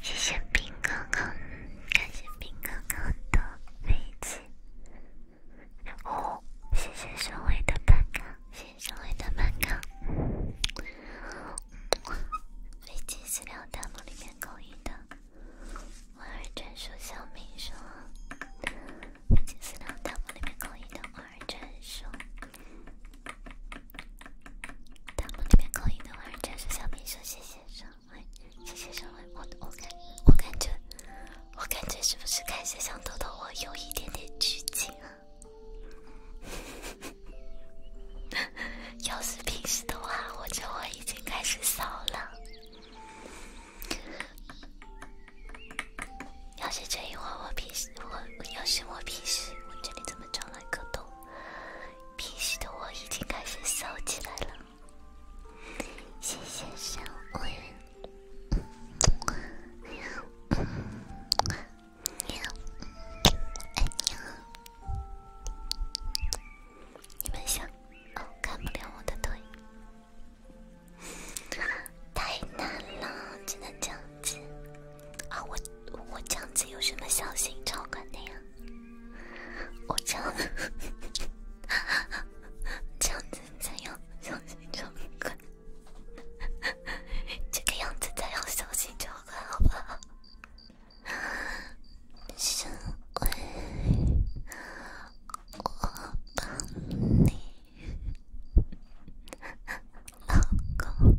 谢谢兵哥哥，感谢兵哥哥的飞机。哦，谢谢周围的板哥，谢谢周围的板哥。飞机私聊弹幕里面口音的玩儿传说小明说，飞机私聊弹幕里面口音的玩儿传说，弹幕里面口音的玩儿传说小明说，谢谢上。谢谢上回我我我感觉我感觉是不是开始像豆豆？我有一点点拘谨啊。要是平时的话，我这我已经开始骚了。要是这一会儿我平时我要是我平时我这里怎么传来个头？平时的我已经开始骚起来了，谢谢上喵，喵，你们想，哦，看不了我的腿，太难了，只能这样子啊！我我这样子有什么小心超管的呀？我这样子，这样子才要小心照顾。这个样子才要小心照顾，好吧？因为，我帮你，老公。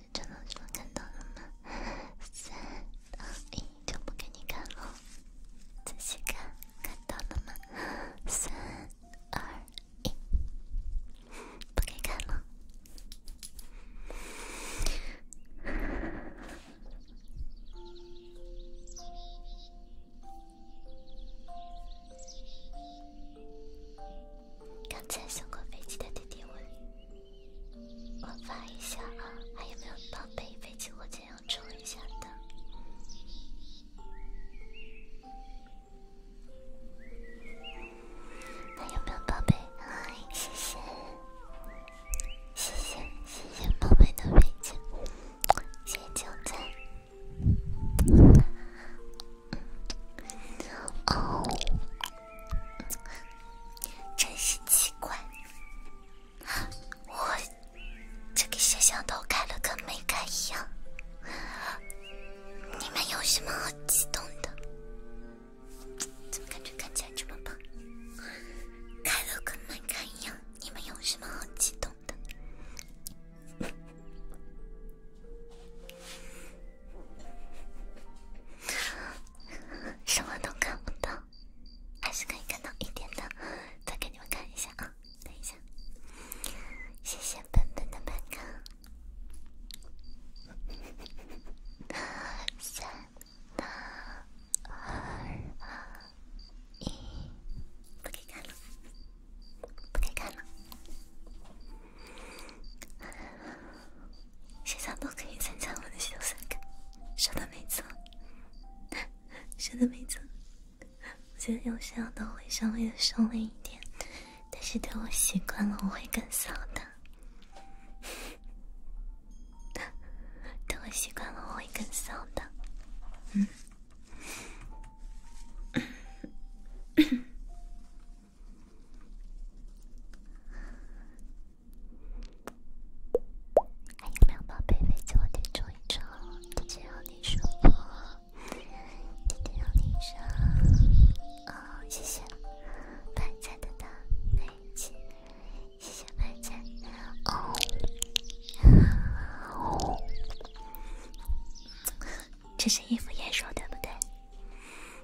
就能说看到了吗？三二一，就不给你看了。仔细看，看到了吗？三二一，不给看了。刚才过飞机的弟弟问。我发一下啊，还有没有宝贝飞机？我先要充一下的。还有没有宝贝？哎，谢谢，谢谢，谢谢宝贝的飞机，谢谢点赞。哦。真是奇怪，我这个摄像头开了跟没开一样。你们有什么好激动的？怎么感觉看起来这么棒？开了跟没开一样，你们有什么好激动的？什么都看不到，还是可以看到一点的。再给你们看一下啊，等一下。谢谢笨笨的麦卡。三、二、一，不给看了，不给看了。现 在都可以参加我的小散个，说的没错，说的没错。我觉得有时候都会稍微的收敛一点，但是等我习惯了，我会更骚的。等我习惯了，我会更骚的。嗯。还有没宝贝飞进我的车里车？只要你说不，只要你说哦，谢谢白菜的那谢谢白菜哦。这是衣服颜色对不对？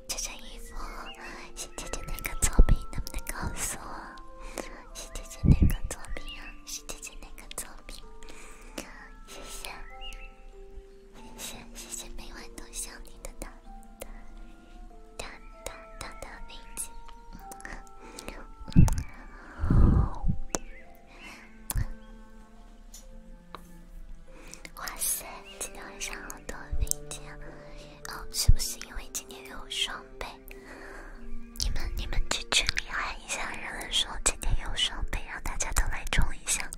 这件衣服，小姐姐哪个作品？能不能告诉我？小姐姐哪个作品啊？姐姐哪个作品？谢谢，谢谢，每晚都笑你的哇塞，今天晚上好多飞机啊！哦，是不是因为今天有双倍？你们你们去群里喊一下，让说今天有双倍，让大家都来冲一下。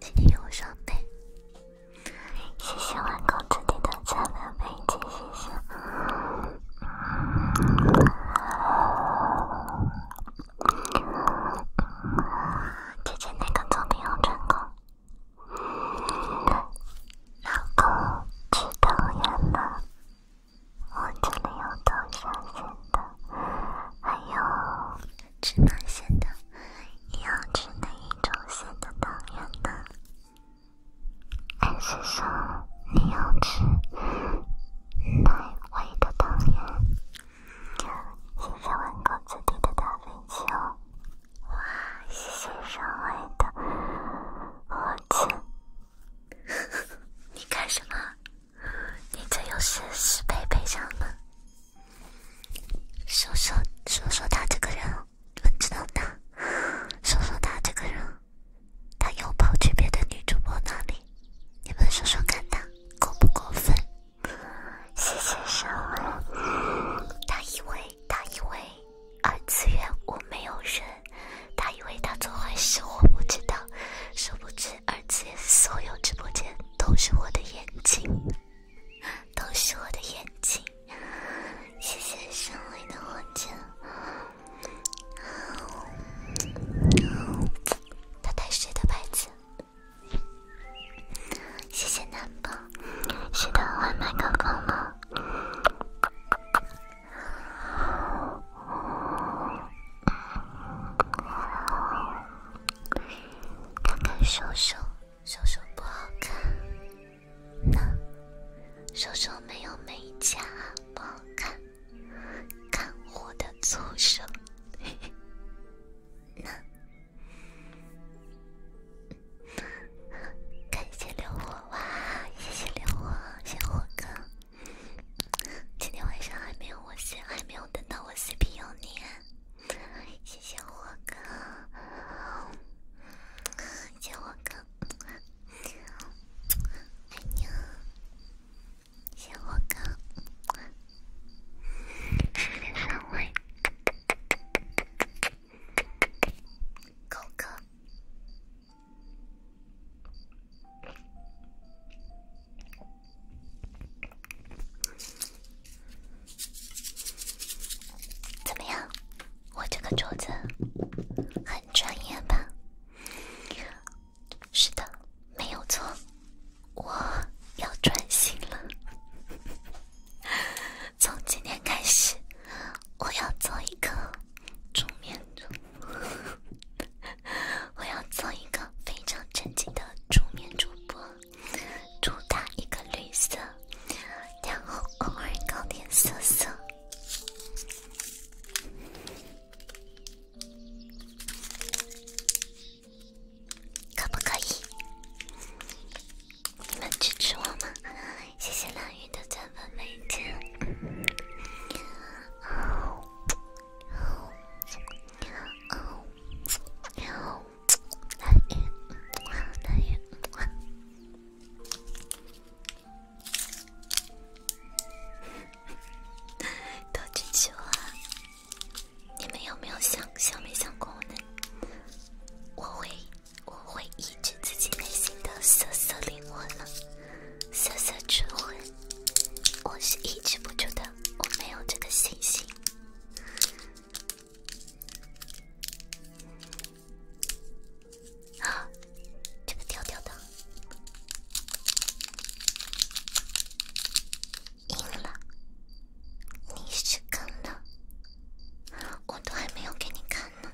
今天有双倍，谢谢万公子的赞两倍，谢谢谢谢。姐姐那个作品要成功。老公，吃糖圆了，我真的有多伤心的？还有吃哪些的？你要吃哪一种馅的糖圆呢？还是说你要吃哪味的糖圆？现在我可自提的大飞机哦！哇！谢谢社会的五千，你干什么？你这又是十倍赔偿吗？说说说说他这个人，你们知道吗？说说他这个人，他又跑去别的女主播那里，你们说说看他过不过分？谢谢社会，他以为。他以为二次元我没有人，他以为他做坏事我不知道，殊不知二次元所有直播间都是我的眼睛，都是我的眼睛。谢谢胜利的火箭。他带谁的牌子？谢谢南宝，是的，外卖刚刚吗？看看手手，手手不好看。那，手手没有美甲，不好看。看我的左手。那。感谢流火哇，谢谢流火，谢谢火哥，今天晚上还没有我 C，还没有等到我 C P 有你，谢谢火哥，谢火哥，爱你啊，谢火哥，谢谢三位。狗哥，怎么样？我这个镯子很专业吧？是的，没有错，我要转型了。从今天开始，我要做一个助眠主播。我要做一个非常正经的助眠主播，主打一个绿色，然后偶尔搞点色色。可不可以？你们支持我吗？谢谢蓝雨的转发，每天。好，好，蓝雨，蓝雨，都支持我。你们有没有想想没想过我呢？我会。我会抑制自己内心的瑟瑟灵魂了，瑟瑟春魂。我是抑制不住的，我没有这个信心。啊，这个调调的，硬了，你是梗了。我都还没有给你看呢。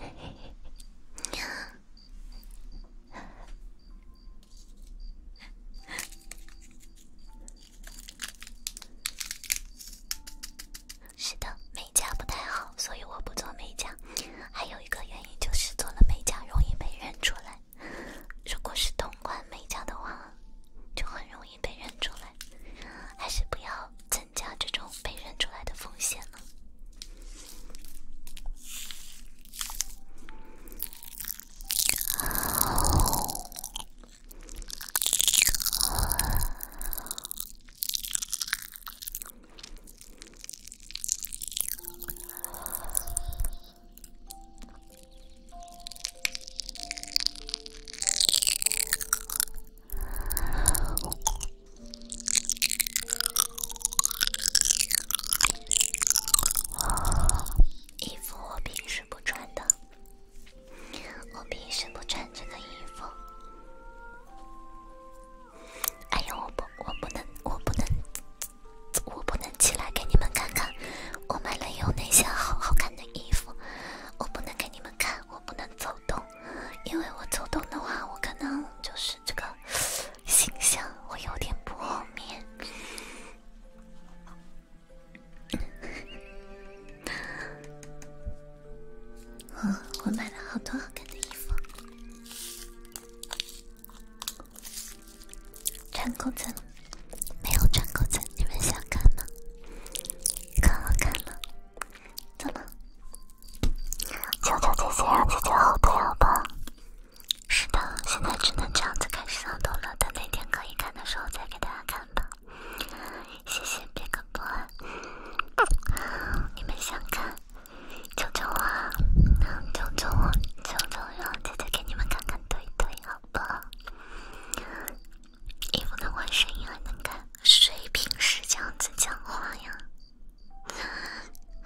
是的，美甲不太好，所以我不做美甲。还有一个原因就是做了美甲容易被认出来。如果是通关美甲的话，就很容易被认出来，还是不要增加这种被认出来的风险了。衣服我平时不穿的，我平时不穿这个衣服。哎呀，我不，我不能，我不能。我不能起来给你们看看我买了有哪些好好看的衣服。我不能给你们看，我不能走动，因为我走动的话，我可能就是这个形象会有点破灭。嗯，我买了好多好看的衣服。穿裤子？没有穿裤子，你们想看吗？可好看了，怎么？求求姐姐让姐姐后退吧。是的，现在只能这样子开始上图了，等那天可以看的时候再给大家看吧。谢谢别克波，你们想看？求求我，求求我，求求让姐姐给你们看看。对对，好吧。你不能问声音，还能看谁平时这样子讲话呀？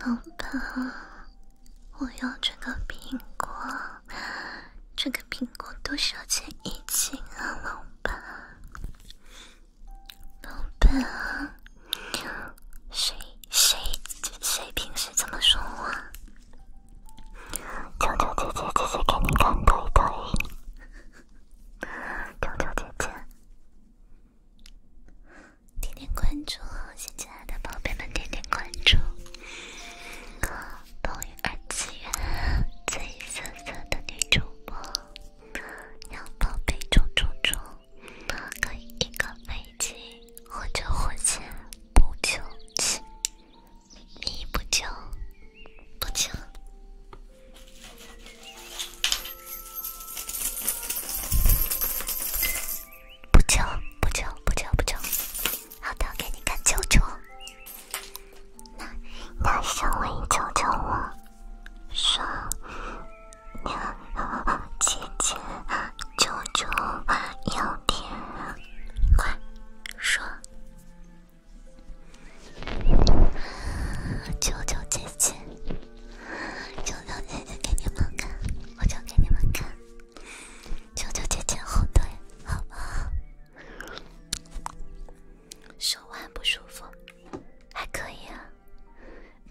老板，我要这个苹果，这个苹果多少钱一斤啊？老板，老板谁谁谁平时这么说话？豆豆姐姐，姐姐给你看，对不对？豆豆姐姐，点点关注，新进来的宝贝们点点关注。抖音二次元最色色的女主播，让宝贝冲冲冲！可以一个飞机或者火箭。不救，你不救，不救，不救，不救，不救，不救，好的，给你看救救。那小伟，救救我！说，姐姐，救救有点。快说！求求姐姐！求求姐姐！给你们看，我就给你们看！求求姐姐后退，好不好？手腕不舒服，还可以啊。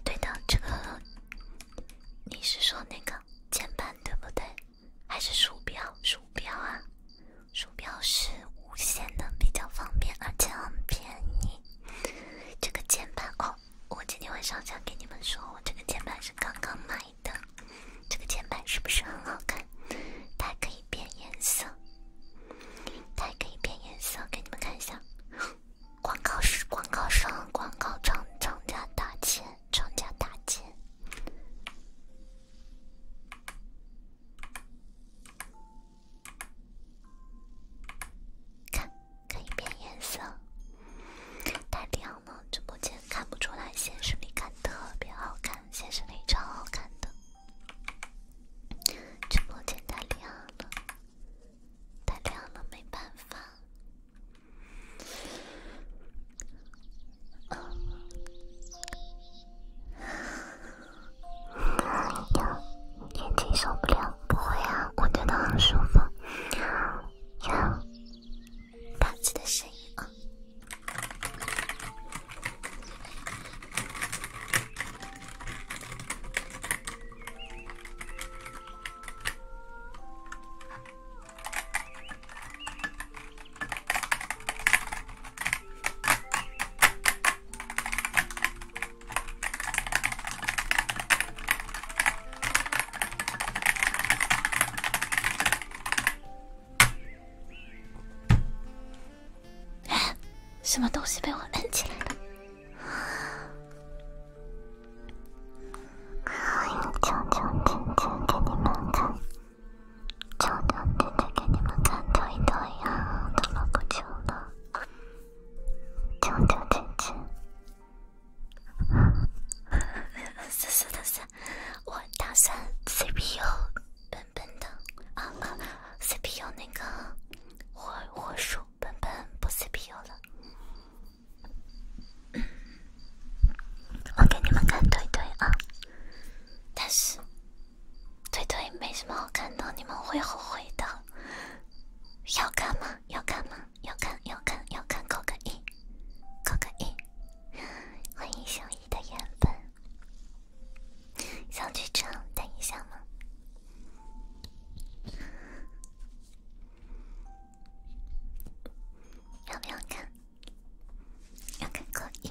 对的，这个你是说那个键盘对不对？还是鼠标，鼠标啊，鼠标是无线的，比较方便，而且很便宜。这个键盘哦，我今天晚上想给你们说，我这个键盘是刚刚买的。这个键盘是不是很好看？它可以变颜色，它可以变颜色，给你们看一下。广告是广告商、广告商厂家打钱。装甲大剑，看，可以变颜色。太亮了，直播间看不出来，现实里看特别好看，现实里超好看的。直播间太亮了，太亮了，没办法。哎呀，眼睛受不了！不会啊，我真的很舒服。呀，打字的声音。什么东西被我摁起来了？哎，悄悄悄悄给你看看，悄悄悄悄给你看看，悄悄呀，多么悄悄，悄悄悄悄。算了算了算了，我打算 CPU 本本的啊啊，CPU 那个我我数本本不是 CPU 了。我给你们看腿腿啊，但是腿腿没什么好看的，你们会后悔的。要看吗？要看吗？要看，要看，要看，扣个一，扣个一。欢迎小姨的原本，小局长，等一下吗？要不要看？要看可以。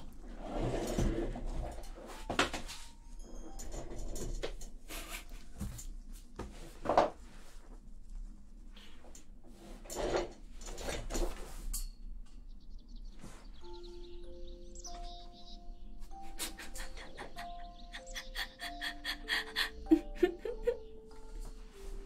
哈哈哈哈哈！哈哈哈哈哈！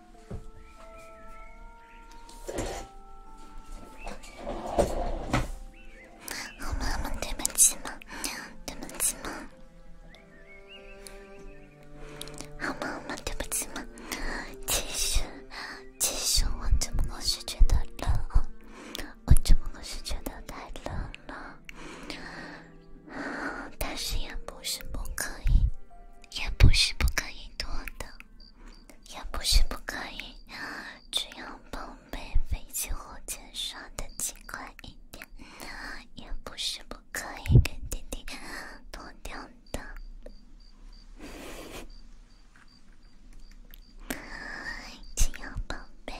好妈妈，对不起嘛，对不起嘛。好妈妈，对不起嘛。其实，其实我只不过是觉得冷，我只不过是觉得太冷了。但是也不是不可以，也不是不可以脱的。也不是不可以，只要宝贝飞机火箭刷的勤快一点，也不是不可以跟弟弟同 调的。只要宝贝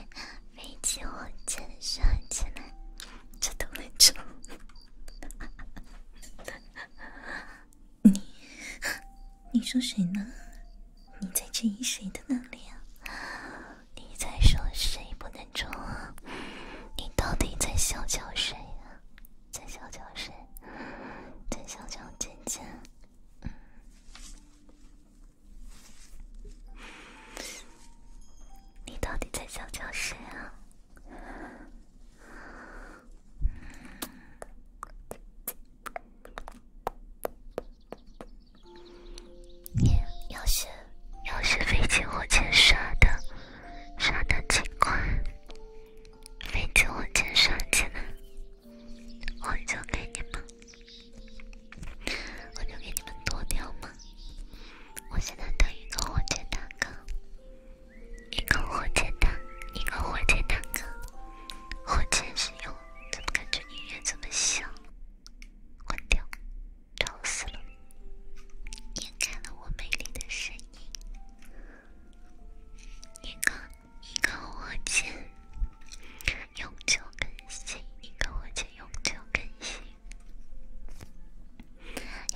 飞机火箭刷起来，这都没错。你，你说谁呢？你在质疑谁的能力啊？你在说谁不能冲啊？你到底在小瞧谁啊？在小瞧谁？在小瞧姐姐？嗯，你到底在小瞧谁啊？要学，要学飞机、火箭啥的，啥的情况？飞机、火箭啥技能？我就给你们，我就给你们躲掉吗？我现在等一个火箭大哥。一个火箭弹，一个火箭坦克。火箭石油，怎么感觉音乐这么小？关掉，吵死了！掩盖了我美丽的声音。一个，一个火箭，永久更新。一个火箭，永久更新。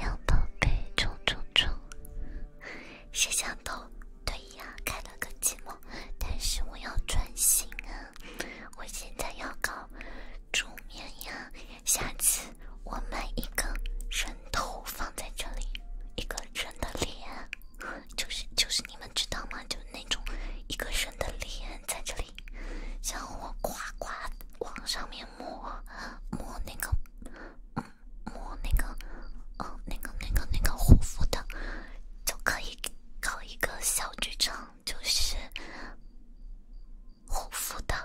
要宝贝，冲冲冲！摄像头，对呀，开了个寂寞，但是我要专心啊！我现在要搞助眠呀。下次我买一个人头放在这里，一个人的脸，就是就是你们知道吗？就那种一个人的脸在这里，叫我夸夸往上面摸摸那个。摸那个，哦，那个、那个、那个护肤的，就可以搞一个小剧场，就是护肤的，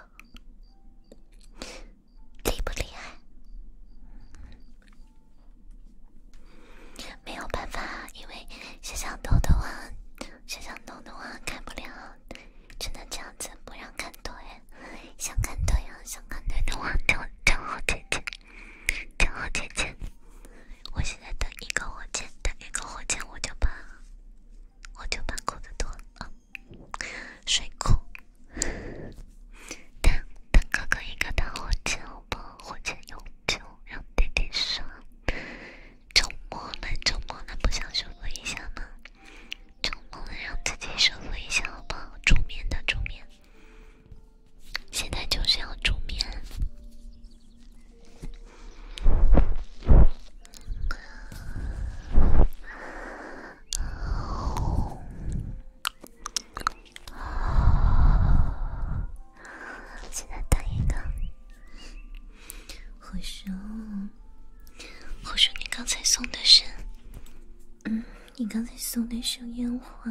厉不厉害？没有办法，因为摄像头的话，摄像头的话看不了，只能这样子不让看多。想看对阳，想看太阳，天火姐姐，天火姐姐，我现在等一个火箭，等一个火箭，我就把我就把裤子脱了，睡裤。弹弹哥哥，一个弹火箭，好不好？火箭有救，让点点刷。周末呢，周末呢，不想说一下吗？就努力让自己舒服一下，好不好？助眠的助眠。现在就是要煮面。现在等一个，或许，或许你刚才送的是，嗯。你刚才送的是烟花，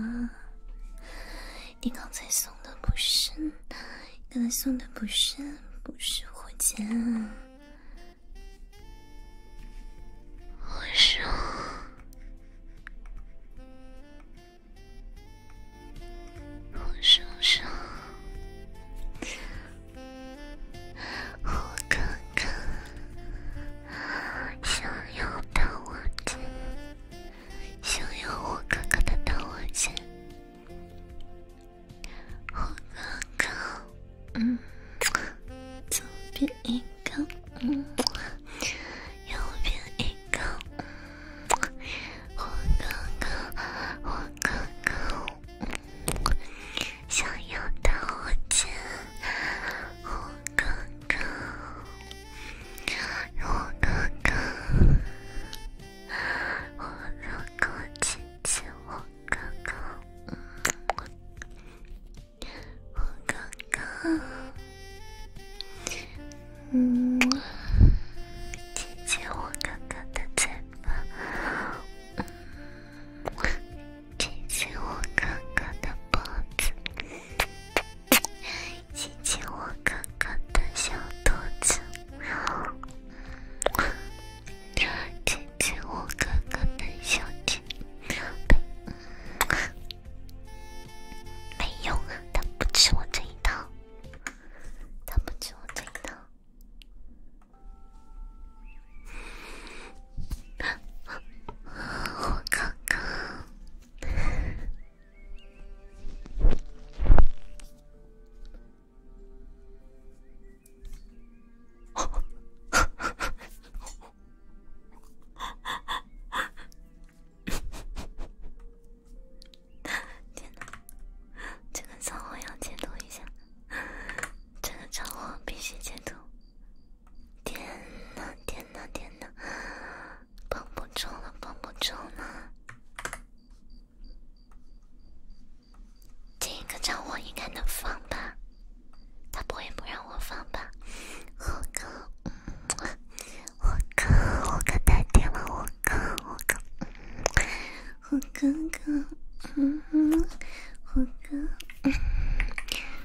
你刚才送的不是，刚才送的不是，不是火箭，我受，我受伤，我可。哥，想要大王剑，想要我哥哥的大王剑。我哥哥，嗯，左边一个，右边一个。我哥哥，我哥哥。想要打火箭，我哥哥，我哥哥，我哥哥亲亲我哥哥，我哥哥，嗯，亲亲我哥哥的嘴巴。亲亲我哥哥的脖子，亲亲我哥哥的小肚子，亲亲我哥哥的小脚。没用啊，他不吃我这一套，他不吃我这一套。我看看，天哪！这个账号要截图一下，这个账号必须截图。天呐天呐天呐！绷不住了绷不住了！这个唱我应该能放吧？他不会不让我放吧？我哥，我哥，我哥太甜了，我哥，我哥，我哥哥，嗯，我哥。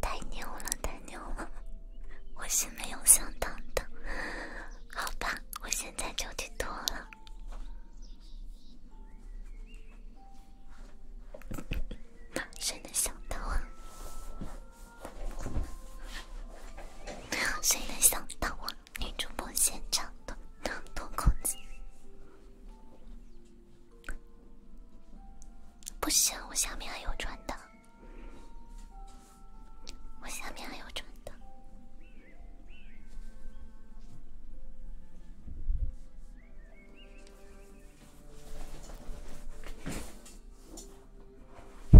太牛了，太牛了！我是没有想到的，好吧，我现在就去脱了。谁能想到啊？谁能想到啊？女主播现场脱脱裤子，不行，我下面还有穿的，我下面还有穿的。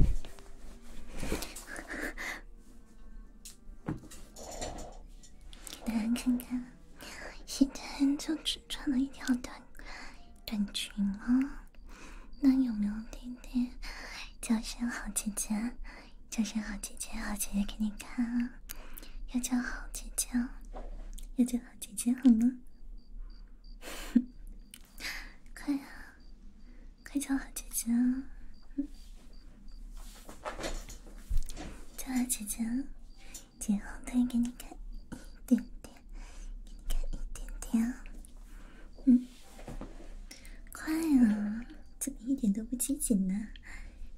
给大家看看，现在就只穿了一条短短裙哦。那有没有弟弟叫声好姐姐，叫声好姐姐，好姐姐给你看。啊！要叫好姐姐哦，要叫好姐姐好吗？快啊！快叫好姐姐！嗯，叫啊，姐姐！姐后可给你看一点点，给你看一点点。嗯，快啊，怎么一点都不积极呢？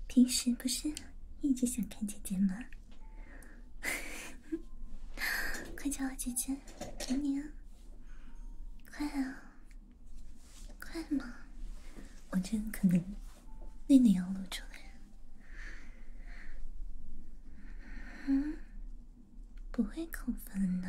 平时不是一直想看姐姐吗？快叫我姐姐，给你啊！快啊！快吗？我这可能那里要露出来。嗯，不会扣分的。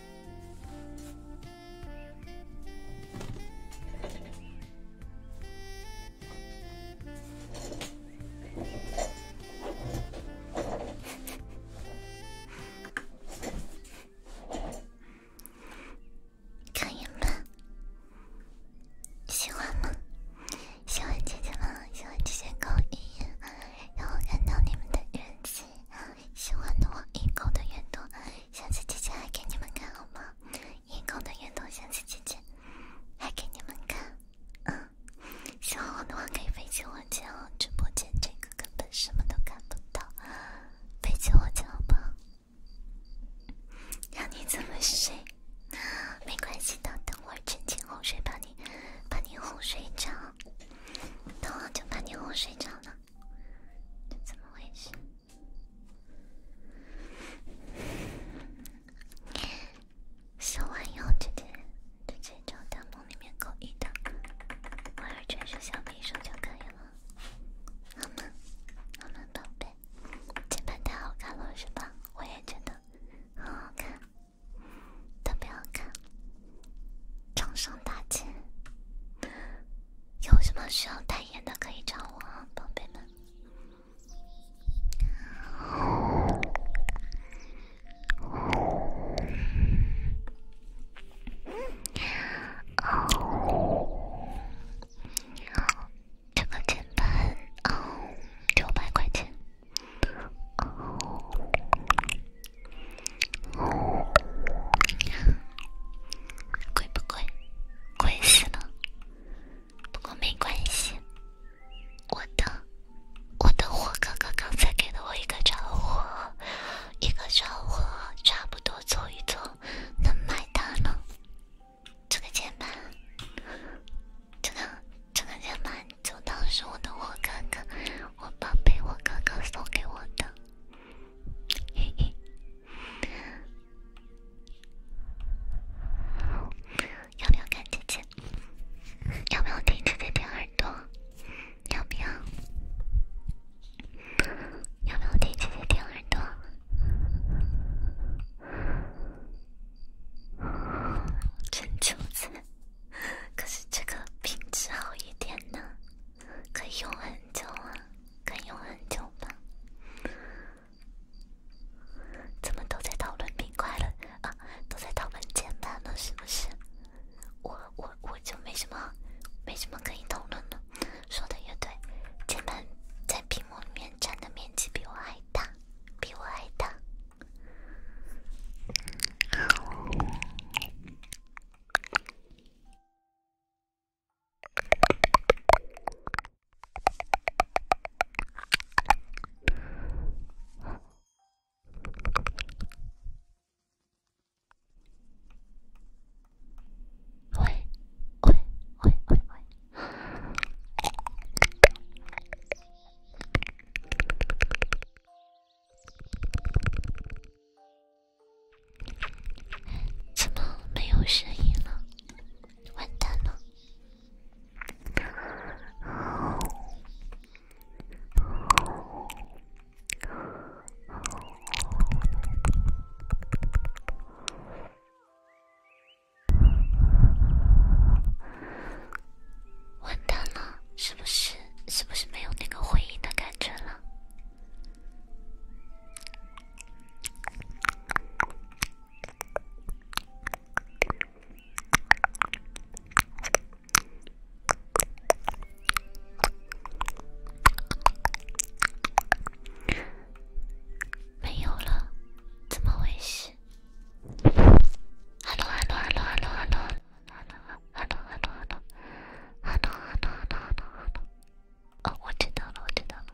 可以吗？喜欢吗？喜欢姐姐吗？喜欢姐姐勾引，让我看到你们的日记。喜欢的话，一孔的圆洞，下次姐姐还给你们看好吗？一孔的圆洞，下次姐姐还给你们看。嗯，喜欢我的话可以飞起我脚，直播间这个根本什么都看不到，飞起我脚吧，让你怎么睡？没关系的，等会儿趁机哄睡把你把你哄睡着，等会儿就把你哄睡着了。这怎么回事？说完以后直接直接找大梦里面勾一的，我要传授下秘术就可以了，好吗？好吗，宝贝？这盘太好看了是吧？我也觉得，好好看，特别好看。昌盛大吉！有什么需要代言的可以找我，宝贝们。哦，这个键盘哦，六百块钱。贵不贵？贵死了！不过没关系，我的我的火哥哥刚才给了我一个招呼，一个招呼，差不多凑一凑能买它了。这个键盘，这个这个键盘，就当是我的火哥哥，我宝贝我哥哥送给我的。要不要看姐姐？要不要听姐姐舔耳朵？要不要？要不要听姐姐舔耳朵？真臭美，可是这个品质好一点呢。可以用很久啊，可以用很久吧？怎么都在讨论冰块了啊？都在讨论键盘了，是不是？我我我就没什么，没什么可以讨论的。说的也对，键盘在屏幕里面占的面积比我还大，比我还大。おいおいおいおいおい怎么没有声音了？完蛋了！完蛋了！是不是？是不是没有那个回应的感觉了？没有了，怎么回事？哈喽哈喽哈喽哈喽哈喽哈喽 하나 하나 하나 하나 하나 하나 하나 하나 아 어디다 하나 어디다 하나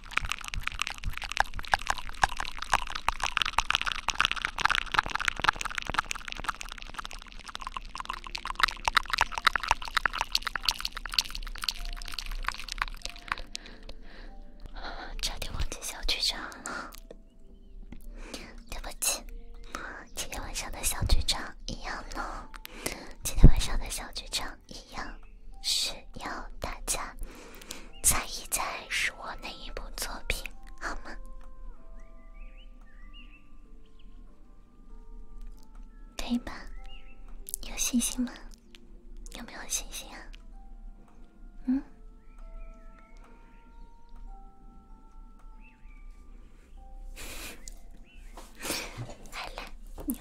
差点忘记小剧场了，对不起。今天晚上的小剧场一样呢。今天晚上的小剧场。一样是要大家猜一猜是我哪一部作品，好吗？可以吧？有信心吗？有没有信心啊？嗯？还 了，你。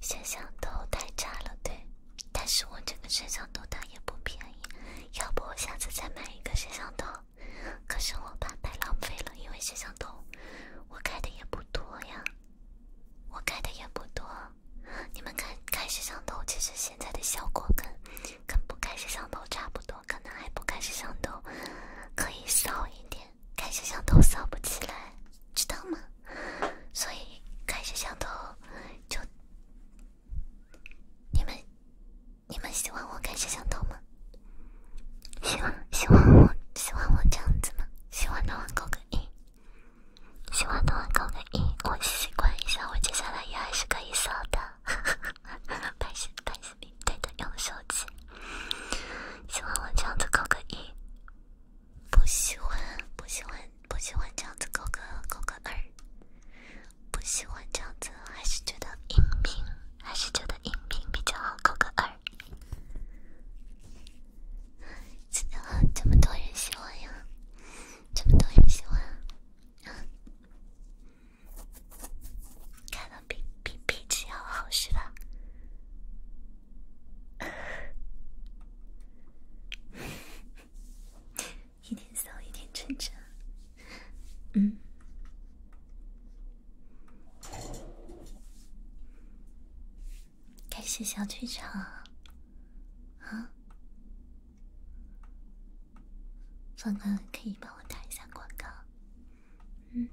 摄像头太差了，对。但是我这个摄像头它也不便宜，要不我下次再买一个摄像头。可是我怕太浪费了，因为摄像头我开的也不多呀，我开的也不多。你们看，开摄像头，其实现在的效果跟跟不开摄像头差不多，可能还不开摄像头可以少一点。开摄像头扫不起来，知道吗？所以开摄像头就你们你们喜欢我开摄像头吗？喜欢喜欢我喜欢我这样子吗？喜欢的话扣个一，喜欢的话扣个一，我习惯一下，我接下来也还是可以扫的。拜是拜对的，用手机。喜欢我这样子扣个一。不喜欢，不喜欢，不喜欢这样子扣个扣个二，不喜欢这样子，还是觉得音频，还是觉得音频比较好，扣个二。真的这么多人喜欢呀？这么多人喜欢看到比比比气要好是吧？一点骚，一点成长。嗯，感谢小剧场啊，方哥可以帮我打一下广告。嗯。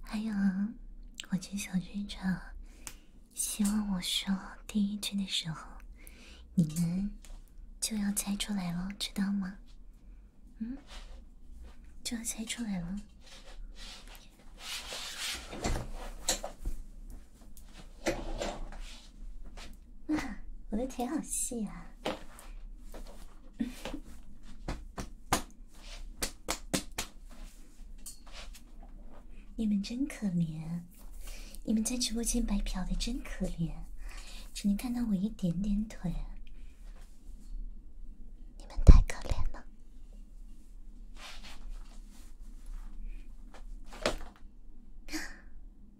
还有，我去小剧场，希望我说第一句的时候，你们就要猜出来了，知道吗？嗯，就要猜出来了。啊，我的腿好细啊！你们真可怜，你们在直播间白嫖的真可怜，只能看到我一点点腿，你们太可怜了。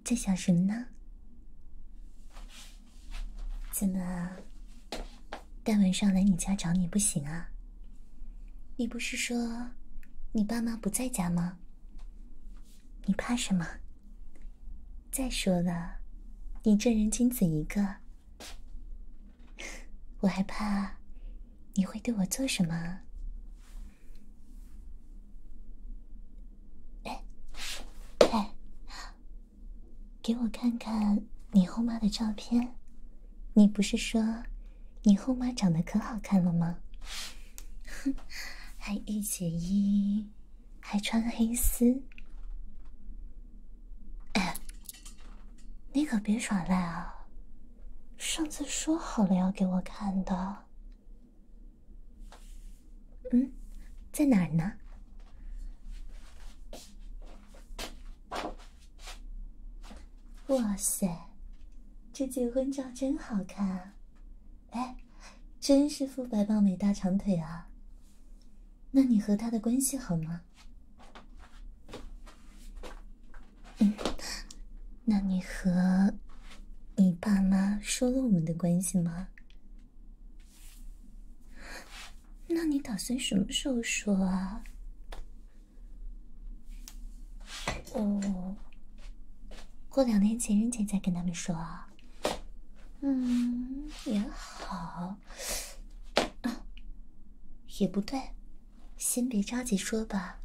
在想什么呢？怎么大晚上来你家找你不行啊？你不是说你爸妈不在家吗？你怕什么？再说了，你正人君子一个，我还怕你会对我做什么？哎，给我看看你后妈的照片。你不是说你后妈长得可好看了吗？还御姐衣，还穿黑丝。哎，你可别耍赖啊！上次说好了要给我看的。嗯，在哪儿呢？哇塞，这结婚照真好看！哎，真是肤白貌美大长腿啊！那你和他的关系好吗？嗯，那你和……你爸妈说了我们的关系吗？那你打算什么时候说啊？哦，过两天情人节再跟他们说啊。嗯，也好。也不对，先别着急说吧。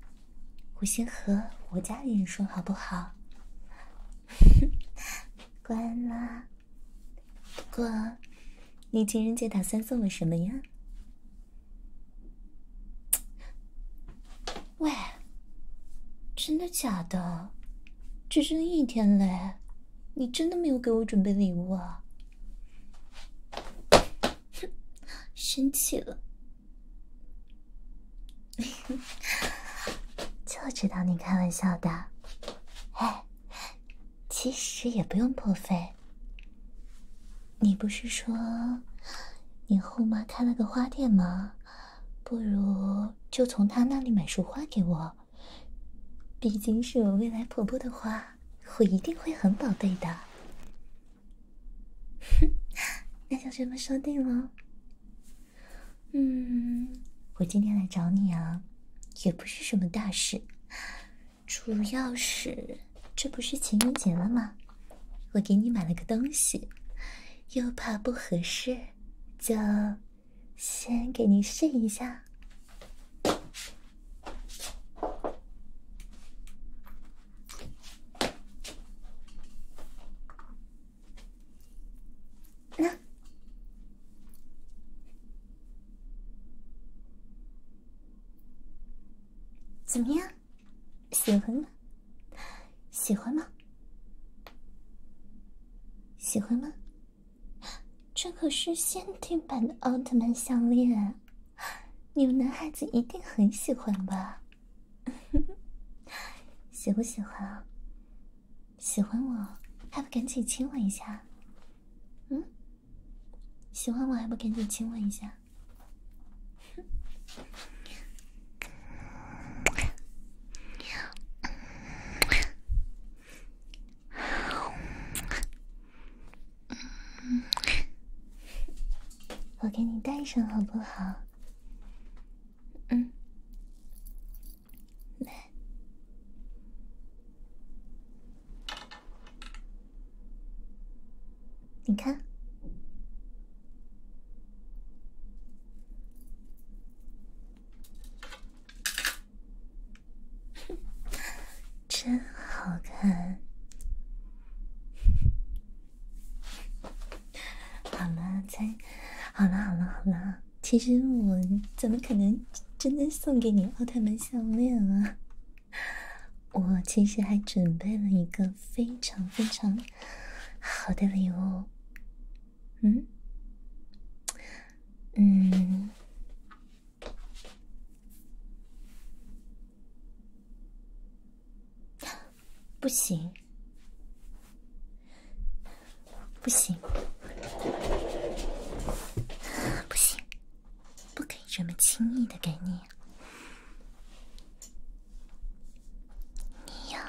我先和我家里人说好不好？关了。不过，你情人节打算送我什么呀？喂，真的假的？只剩一天嘞，你真的没有给我准备礼物啊？生气了。就知道你开玩笑的，哎，其实也不用破费。你不是说你后妈开了个花店吗？不如就从她那里买束花给我。毕竟是我未来婆婆的花，我一定会很宝贝的。那就这么说定了。嗯，我今天来找你啊，也不是什么大事，主要是这不是情人节了吗？我给你买了个东西，又怕不合适，就先给你试一下。那怎么样？喜欢吗？喜欢吗？喜欢吗？这可是限定版的奥特曼项链，你们男孩子一定很喜欢吧？喜不喜欢啊？喜欢我还不赶紧亲我一下？嗯，喜欢我还不赶紧亲我一下？我给你戴上好不好？嗯，来，你看，真好看。好了，再好了，好了，好了。其实我怎么可能真的送给你奥特曼项链啊？我其实还准备了一个非常非常好的礼物。嗯嗯。不行，不行，不行，不可以这么轻易的给你。你要，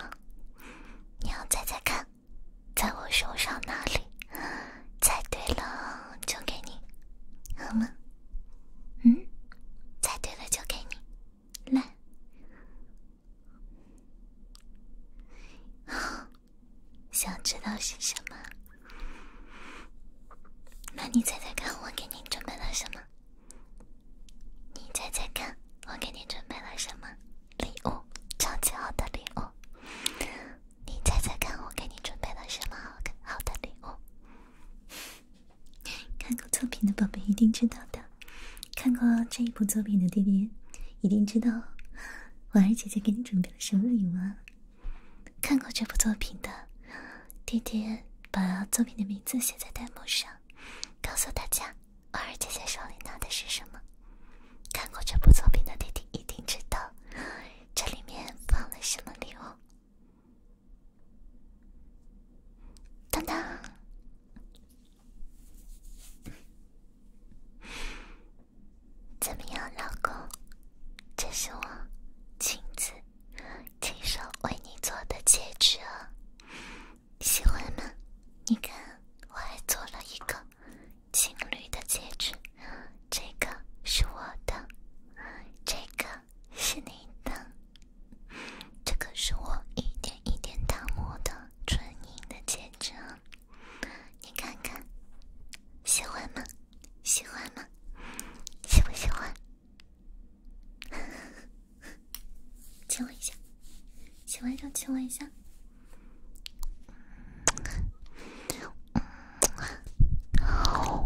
你要猜猜看，在我手上哪里？猜对了就给你，好吗？嗯，猜对了就给你，来。想知道是什么？那你猜猜看，我给你准备了什么？你猜猜看，我给你准备了什么礼物？超级好的礼物！你猜猜看，我给你准备了什么好好的礼物？看过作品的宝宝一定知道的。看过这一部作品的弟弟，一定知道婉儿姐姐给你准备了什么礼物。看过这部作品的弟弟，把作品的名字写在弹幕上，告诉大家婉儿姐姐手里拿的是什么。看过这部作品的弟弟一定知道这里面放了什么礼物。当当。怎么样，老公？这是我亲自亲手为你做的戒指哦，喜欢吗？你看，我还做了一个情侣的戒指，这个是我的，这个是你的。这个是我一点一点打磨的纯银的戒指，你看看，喜欢吗？喜欢吗？喜不喜欢？亲我一下，喜欢就亲我一下。好，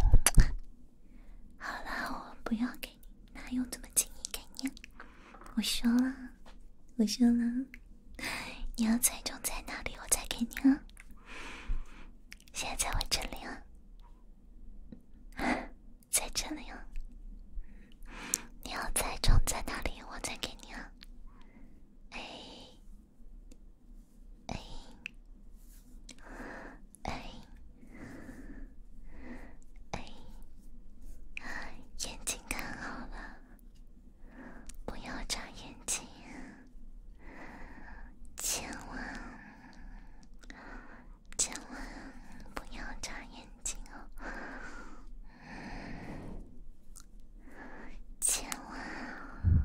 好了，我不要。哪有这么轻易给你？我说了，我说了，你要猜中在哪里，我再给你啊。现在在我这里啊，在这里啊，你要猜中在哪里，我再给你啊。哎，哎，哎。哎，眼睛看好了，不要眨眼睛，千万千万不要眨眼睛哦，千万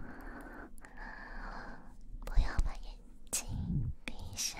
不要把眼睛闭上。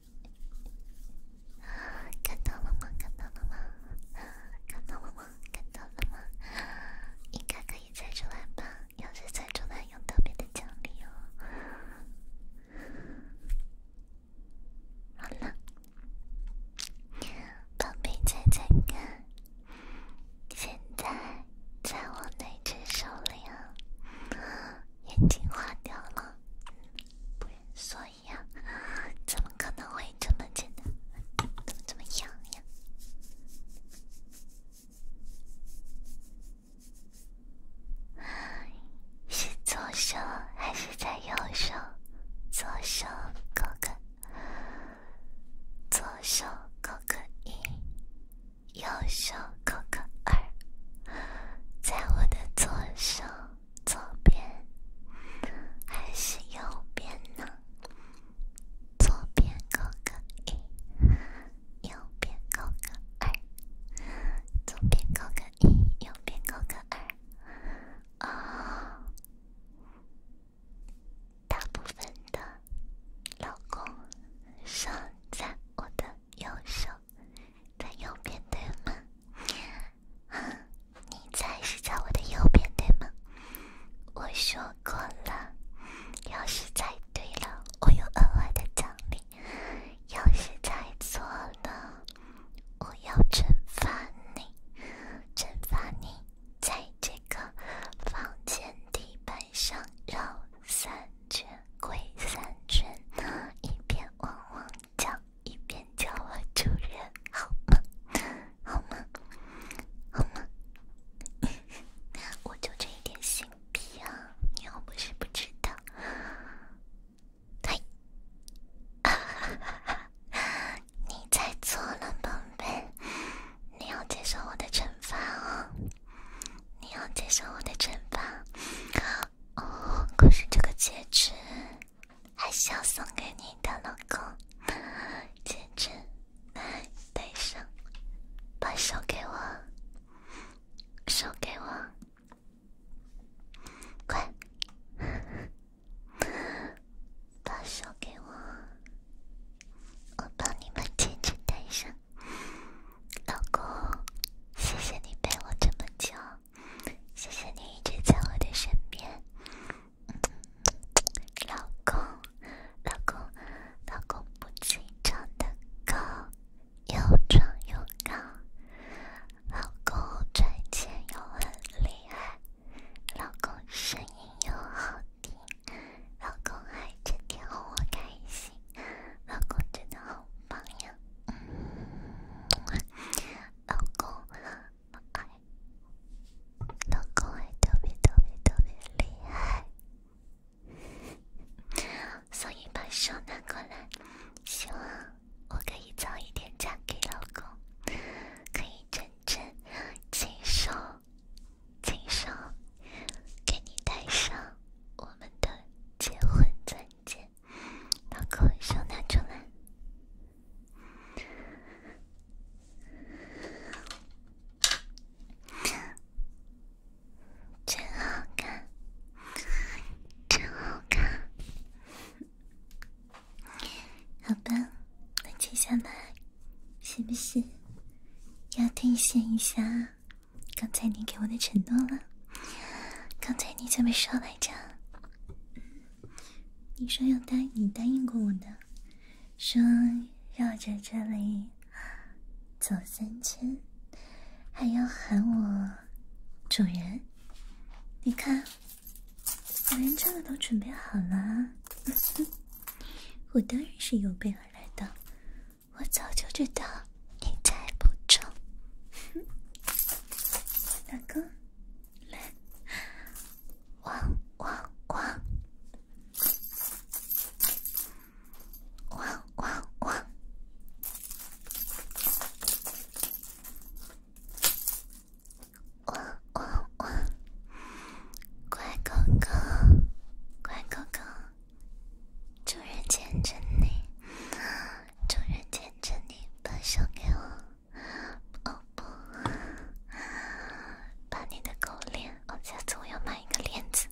看到了吗？看到了吗？看到了吗？看到了吗？应该可以猜出来吧？要是猜出来有特别的奖励哦。好了，宝贝，猜猜看，现在在我哪只手里啊？眼睛画掉了，呀，怎么可能会这么简单？怎么这么痒呀？是左手还是在右手？左手扣个左手勾个一，右手扣个二，在我的左手。左边还是右边呢？左边扣个一，右边扣个二。左边扣个一，右边扣个二。哦，大部分的老公上在我的右手。在右边，对吗？你猜是在我的右边，对吗？我说过了，要是猜对了，我有额外的奖励；要是猜错了，我要惩罚你，惩罚你在这个房间地板上绕三圈，跪三圈，一边汪汪。叫一边叫我主人好吗？好吗？好吗？我就这一点心脾啊！你又不是不知道。嘿，你猜错了，宝贝。你要接受我的惩罚哦！你要接受我的惩罚哦！可是这个戒指……还是要送给你的老公戒指，来戴上，把手给我，手给我，快，把手给我，我帮你们戒指戴上，老公，谢谢你陪我这么久。谢谢你一直在我的身边，老公，老公，老公不仅长得高又壮又高，老公赚钱又很厉害，老公声音又好听，老公还整天哄我开心，老公真的好榜样。老公，我爱你。老公爱特别特别特别厉害，所以把手拿过来，希望我可以早一点嫁给老公，可以真正亲手亲手给你戴上我们的结婚钻戒。把口秀拿出来，真好看，真好看。好吧，那接下来是不是要兑现一下刚才你给我的承诺了？刚才你怎么说来着？你说要答，你答应过我的，说绕着这里走三千，还要喊我主人。你看，我连这个都准备好了。我当然是有备而来的，我早就知道你在铺哼，大哥。来，汪汪汪！汪汪汪！汪汪汪！乖狗狗，乖狗狗，主人牵着你，主人牵着你，把手给我。哦不！把你的狗链哦，下次我要买一个链子。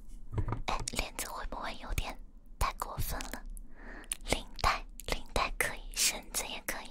哎，链子会不会有点太过分了？领带，领带可以，绳子也可以。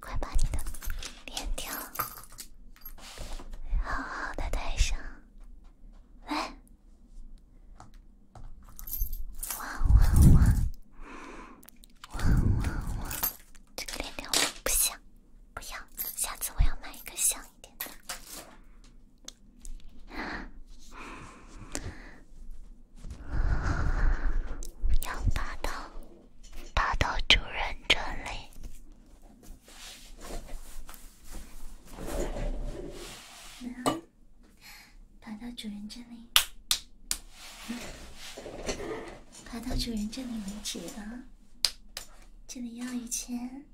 快把你的链条好好的带上，来！汪汪汪！汪汪汪！这个链条我不想，不要，下次我要买一个像一点的。不要霸道。爬到主人这里，爬到主人这里，爬到主人这里为止啊！这里要一千，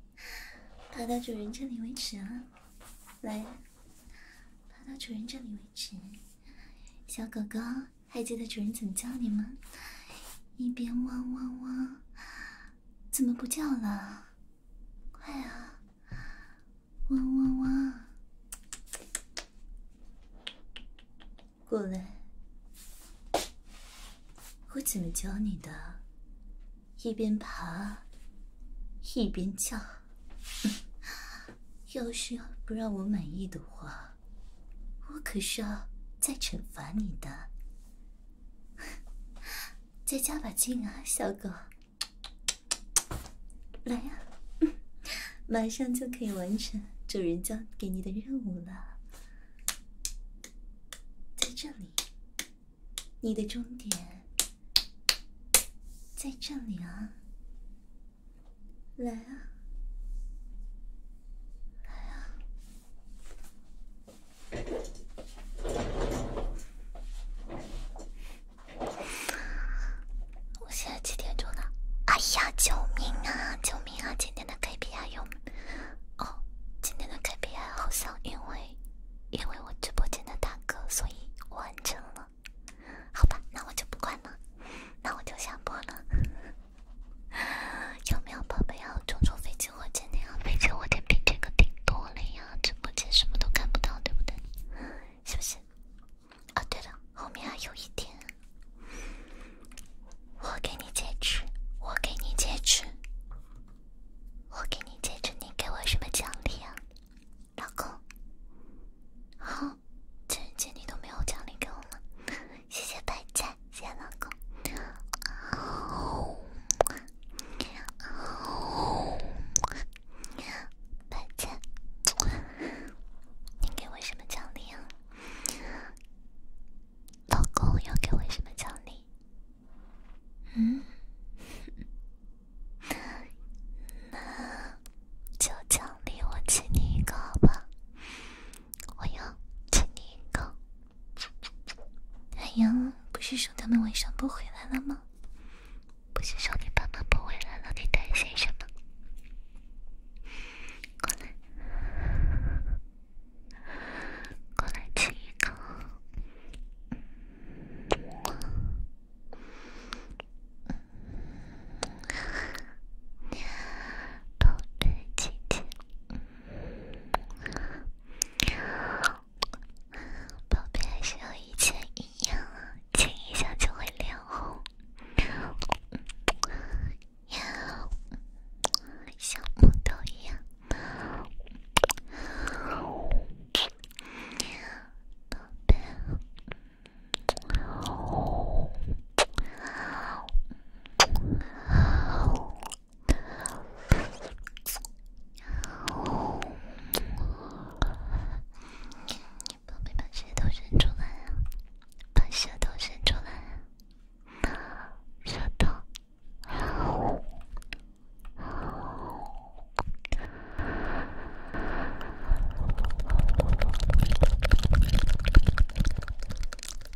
爬到主人这里为止啊！来，爬到主人这里为止，小狗狗。还记得主人怎么叫你吗？一边汪汪汪，怎么不叫了？快啊，汪汪汪，过来！我怎么教你的？一边爬，一边叫。要是不让我满意的话。我可是要再惩罚你的，再加把劲啊，小狗！来呀，马上就可以完成主人交给你的任务了。在这里，你的终点在这里啊。来啊，来啊！我现在几点钟了？哎呀，救命啊，救命啊！今天的 KPI 有哦，今天的 KPI 好像因为因为我直播间的大哥，所以完成了。好吧，那我就不管了，那我就下播了。有没有宝贝要坐坐飞机火箭的呀？飞机火箭比这个顶多了呀！直播间什么都看不到，对不对？是不是？啊，对了，后面还有一点，我给你戒指，我给你戒指，我给你戒指，你给我什么奖励呀？老公，好，情人节你都没有奖励给我吗？谢谢拜见，谢谢老公。拜见，你给我什么奖励呀？老公要给我什么奖励？嗯，那就奖励我亲你一个吧。我要亲你一口。哎呀，不是说他们晚上不回来了吗？不是说你爸妈不回来了，你担心什么？过来，过来亲一口。宝贝姐姐，宝贝像以前一样，亲一下就会脸红，呀，像木头一样，宝贝。宝贝，把舌头伸出来啊！把舌头伸出来，舌头。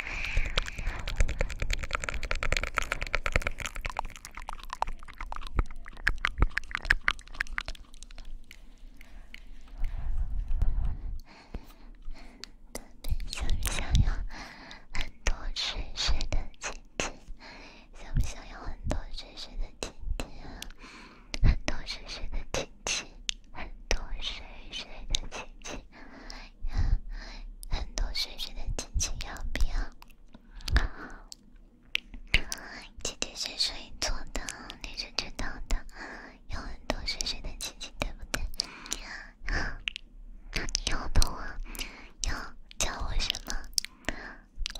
特别想想要很多叔叔的亲戚，想不想要很多叔叔的亲戚啊？很多叔叔的亲戚。很多水水的亲姐，很多水水的亲姐要不要？姐姐是水做的？你是知道的。有很多水水的亲姐，对不对？那你要的话，要叫我什么？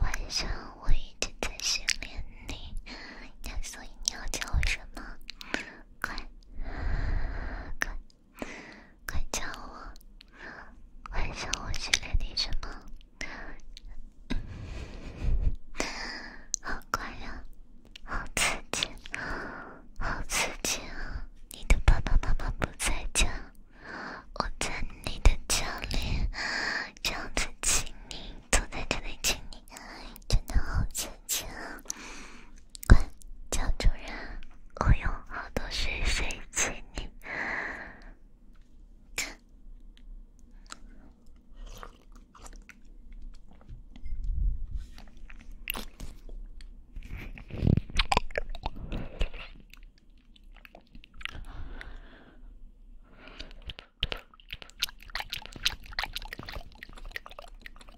晚上我一直在训练你，所以你要叫我什么？快！快，快叫我！晚上我训练你什么？好乖呀，好刺激，好刺激啊！你的爸爸妈妈不在家，我在你的家里，这样子亲你，坐在这里亲你，真的好亲。亲，快叫主人！我有好多水水亲你。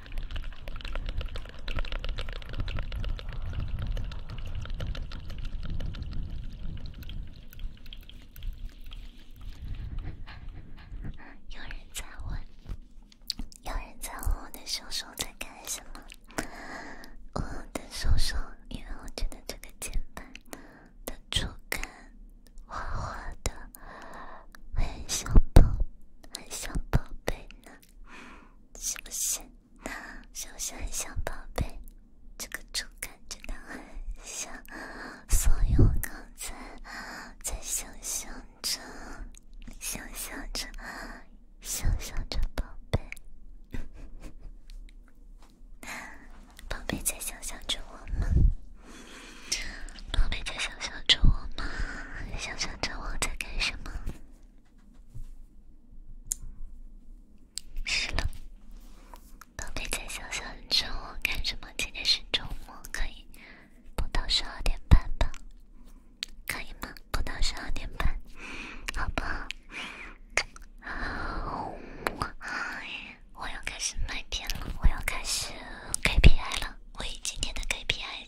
有人在问，有人在问我的手手在干什么？我的手手，因为我觉得这个键盘的触感滑滑的，很像宝，很像宝贝呢。是不是？是不是小宝贝？这个触感真的很香。所有刚才在想象着，想象着，想象着宝贝。宝贝在想象着我吗？宝贝在想象着我吗？想象着我在干什么？是了，宝贝在小熊周末干什么？今天是周末，可以播到十二点半吧？可以吗？播到十二点半，好不好？我要开始麦片了，我要开始 KPI 了，为今天的 KPI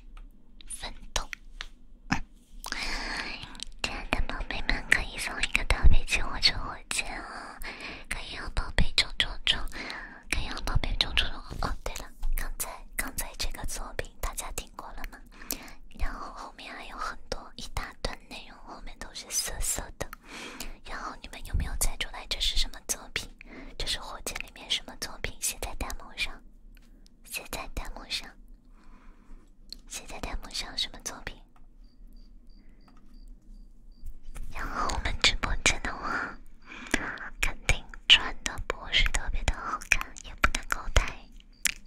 奋斗。亲爱的宝贝们，可以送一个宝贝进火车火箭哦，可以要宝贝中中中，可以要宝贝中中中哦。对了，刚才刚才这个作品大家听过了吗？然后后面还有很多一大段内容，后面都是色色的。然后你们有没有猜出来这是什么作品？这是火箭里面什么作品？现在弹幕上。写在弹幕上，写在弹幕上什么作品？然后我们直播间的话，肯定穿的不是特别的好看，也不能够太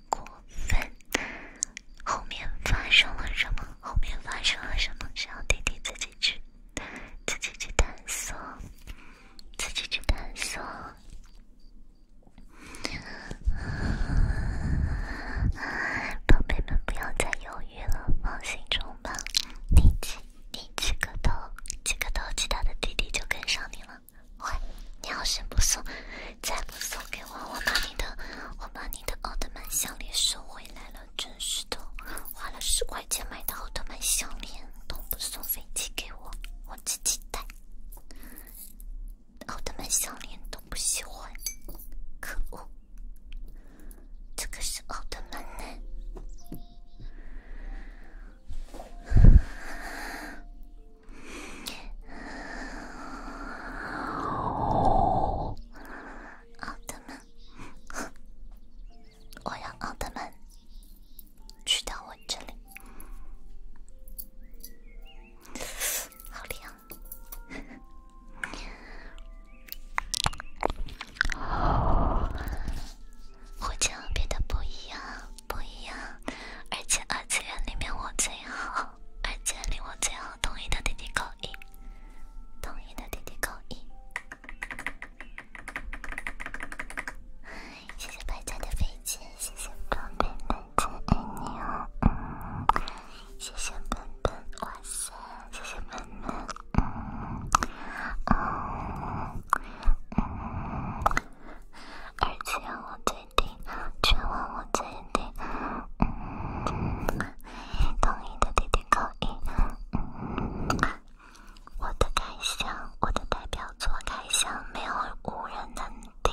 过分。后面发生了什么？后面发生了什么？需要弟弟自己去，自己去探索，自己去探索。宝贝们不要再犹豫了，放心冲吧！你起，你起个头起个头，其他的弟弟就跟上你了。喂，你要先不送，再不送给我，我把你的我把你的奥特曼项链收回来了。真是的，花了十块钱买的奥特曼项链，都不送飞机给我，我自己带。奥特曼项链都不喜欢，可恶！这个是奥特曼呢。奥特曼，我让奥特曼去到我这里。好凉！而且别的不一样，不一样。而且二次元里面我最好，而且令我最好同意的弟弟口音，同意的弟弟口音。谢谢百家的飞机，谢谢宝贝，的猪，爱你哦。谢谢笨笨，哇塞！谢谢笨笨。嗯。而且我最顶，全网我最近，嗯，同意的点弟可以。嗯。我的感想，我的代表作开箱，没有无人能。的，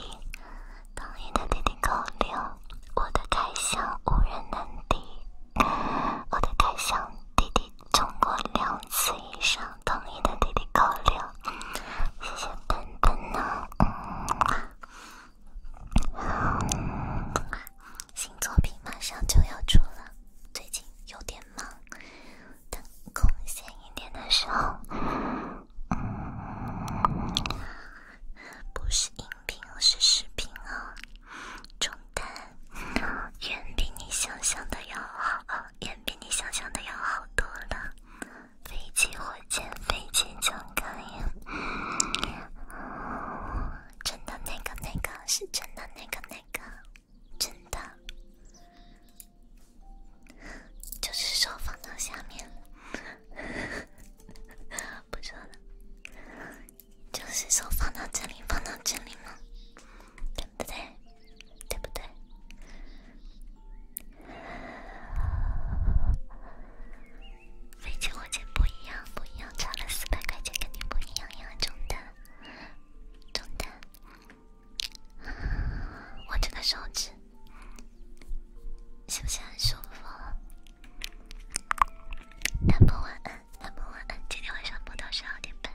同音的弟弟高六，我的开箱无人能敌，我的开箱弟弟中过两次以上，同音的弟弟高六，谢谢笨笨呢。新作品马上就要出了，最近有点忙，等空闲一点的时候。不是音频，而是视频哦。中单演比你想象的要好，演比你想象的要好多了。飞机火箭飞机枪杆呀，真的那个那个是真的那个那个真的。就是手放到下面了，不知道呢。就是手放到这里，放到这里吗？对不对？对不对？飞机火箭不一样，不一样，差了四百块钱，肯定不一样呀！中弹，中弹。我这个手指，是不是很舒服？楠木晚安，楠木晚安，今天晚上播到十二点半。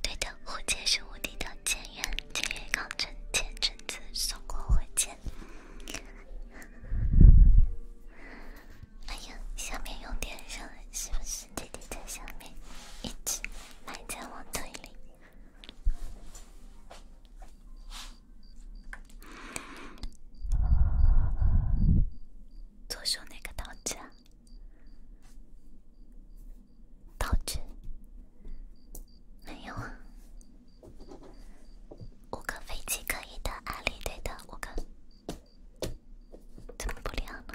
对的，火箭是无敌的，前缘、前月港镇、前镇子送过火箭。哎呀，下面有点热，是不是？弟弟在下面，一直埋在我嘴里。左手那个道具，道具没有啊？五个飞机可以的，阿里队的五个。真不厉害吗？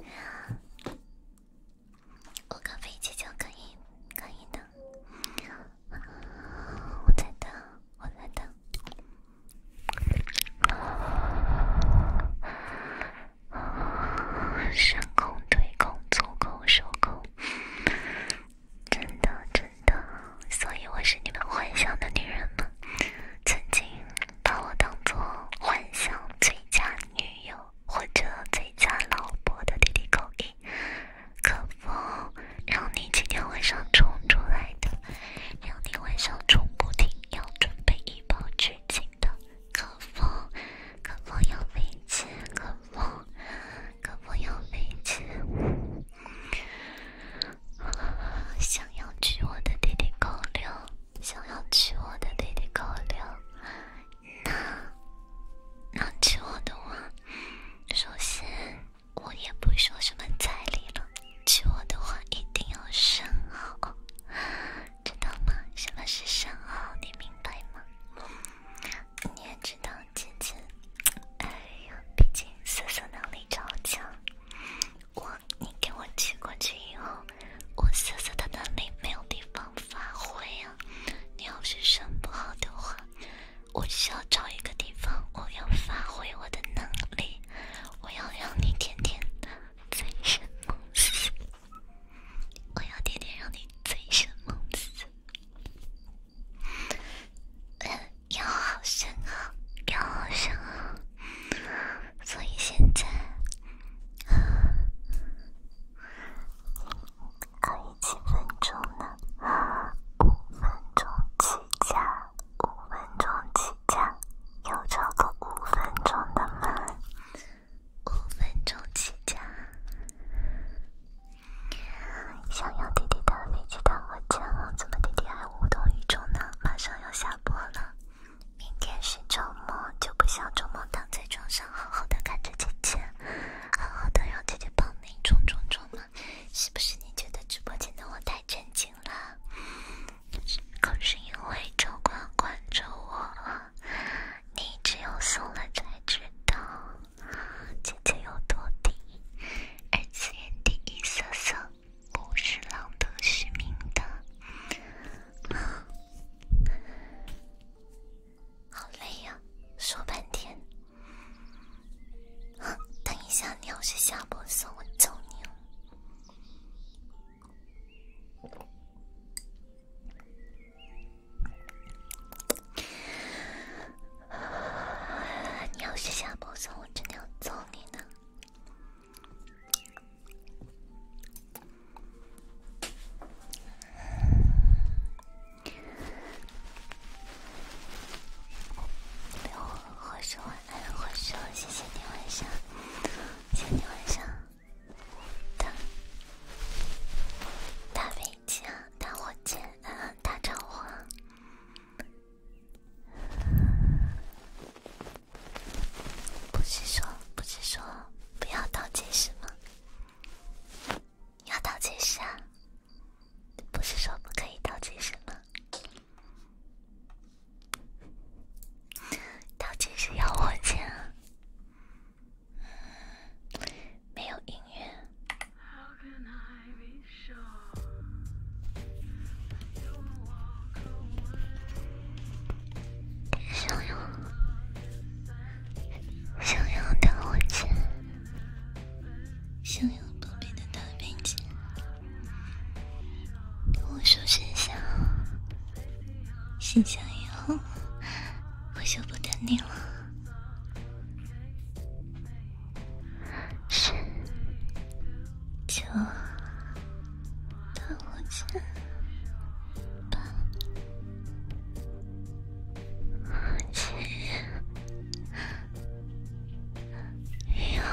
耶！我开飞机就可以，可以的。我来的，我来的。上空对空，左空，右空。真的，真的，所以我是你们幻想的女人吗？曾经把我当做幻想最佳女友或者最佳老婆的弟弟口音，可否让你今天晚上冲出来的？让你晚上冲不停，要准备一包纸巾的？可否？可否要杯子？可否？可否要杯子？想要娶我的弟弟狗粮，想要娶我的弟弟狗粮，那，那娶我的话，首先我也不收什么彩礼了。娶我的话，一定要身后，知道吗？什么是身后？你明白吗？你也知道。姐姐，哎呀，毕竟色色能力超强，我你给我寄过去以后，我色色的能力没有地方发挥啊！你要是生不好的话，我需要找一个地方，我要发挥我的能力，我要让你天天醉生梦死，我要天天让你醉生梦死。要好深啊，要好深啊！所以现在可以几分钟呢？五分钟起价，五分钟起价，有超过五分钟的吗？五分钟起价。想要弟弟的，飞机打我枪吗？怎么弟弟还无动于衷呢？马上要下播了，明天是周末，就不想周末躺在床上好好的看着姐姐，好好的让姐姐帮你充充充吗？是不是你觉得直播间的我太震惊了？可是因为周光关注我，了，你只有送了才知道。姐。这有多低？二次元第一色色，我是朗读取名的，好累呀，说半天。等一下，你要是下播，算我揍你哦。你要是下播送，我真的要揍你呢！我会说晚安，会说谢谢你晚上，谢谢你晚上，打打飞机啊，打火箭啊，打桃花。不是说不是说不要倒计时吗？要倒计时啊！不是说不可以倒计时吗？倒计时要我啊，没有音乐。想要，想要大火箭，想要宝贝的大心想，以后我就不等你了。十九、二千、八、千、幺、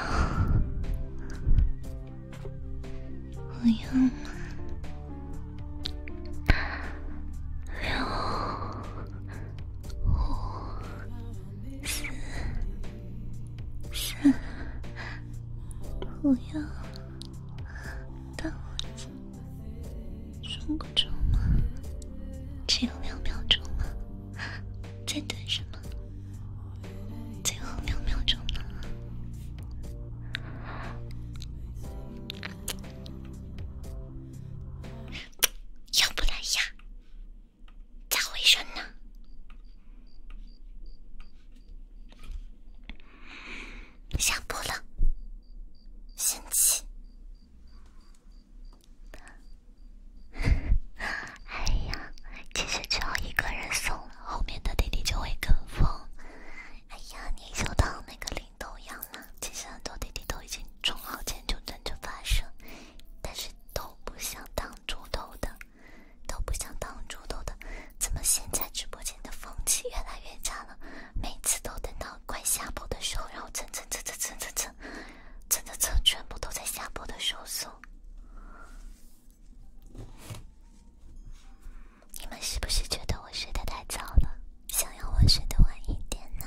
五、幺、六、五。四、三、五、幺，到子，数分钟吗？只有两秒钟吗？在等什么？最后秒秒钟吗？要不然呀？咋回事呢？下播了，生气。哎呀，其实只要一个人送后面的弟弟就会跟风。哎呀，你就当那个领头羊了。其实很多弟弟都已经充好钱，就等着发射，但是。都不想当猪头的，都不想当猪头的，怎么现在直播间的风气越来越差了？每次都等到快下播的时候，然后蹭蹭蹭蹭蹭蹭蹭蹭蹭，全部都在下播的时候送。你们是不是觉得我睡得太早了，想要我睡得晚一点呢？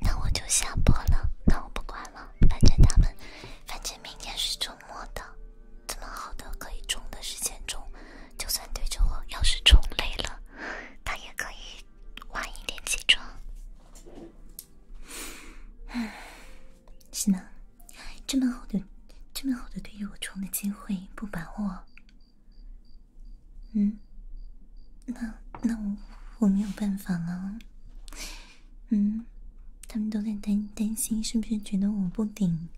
那我就下播了，那我不管了，反正他们，反正明天是周末的。这么好的可以冲的时间冲就算对着我，要是冲累了，他也可以晚一点起床。唉，是呢，这么好的，这么好的对着我冲的机会不把握，嗯，那那我我没有办法了。嗯，他们都在担担心，是不是觉得我不顶？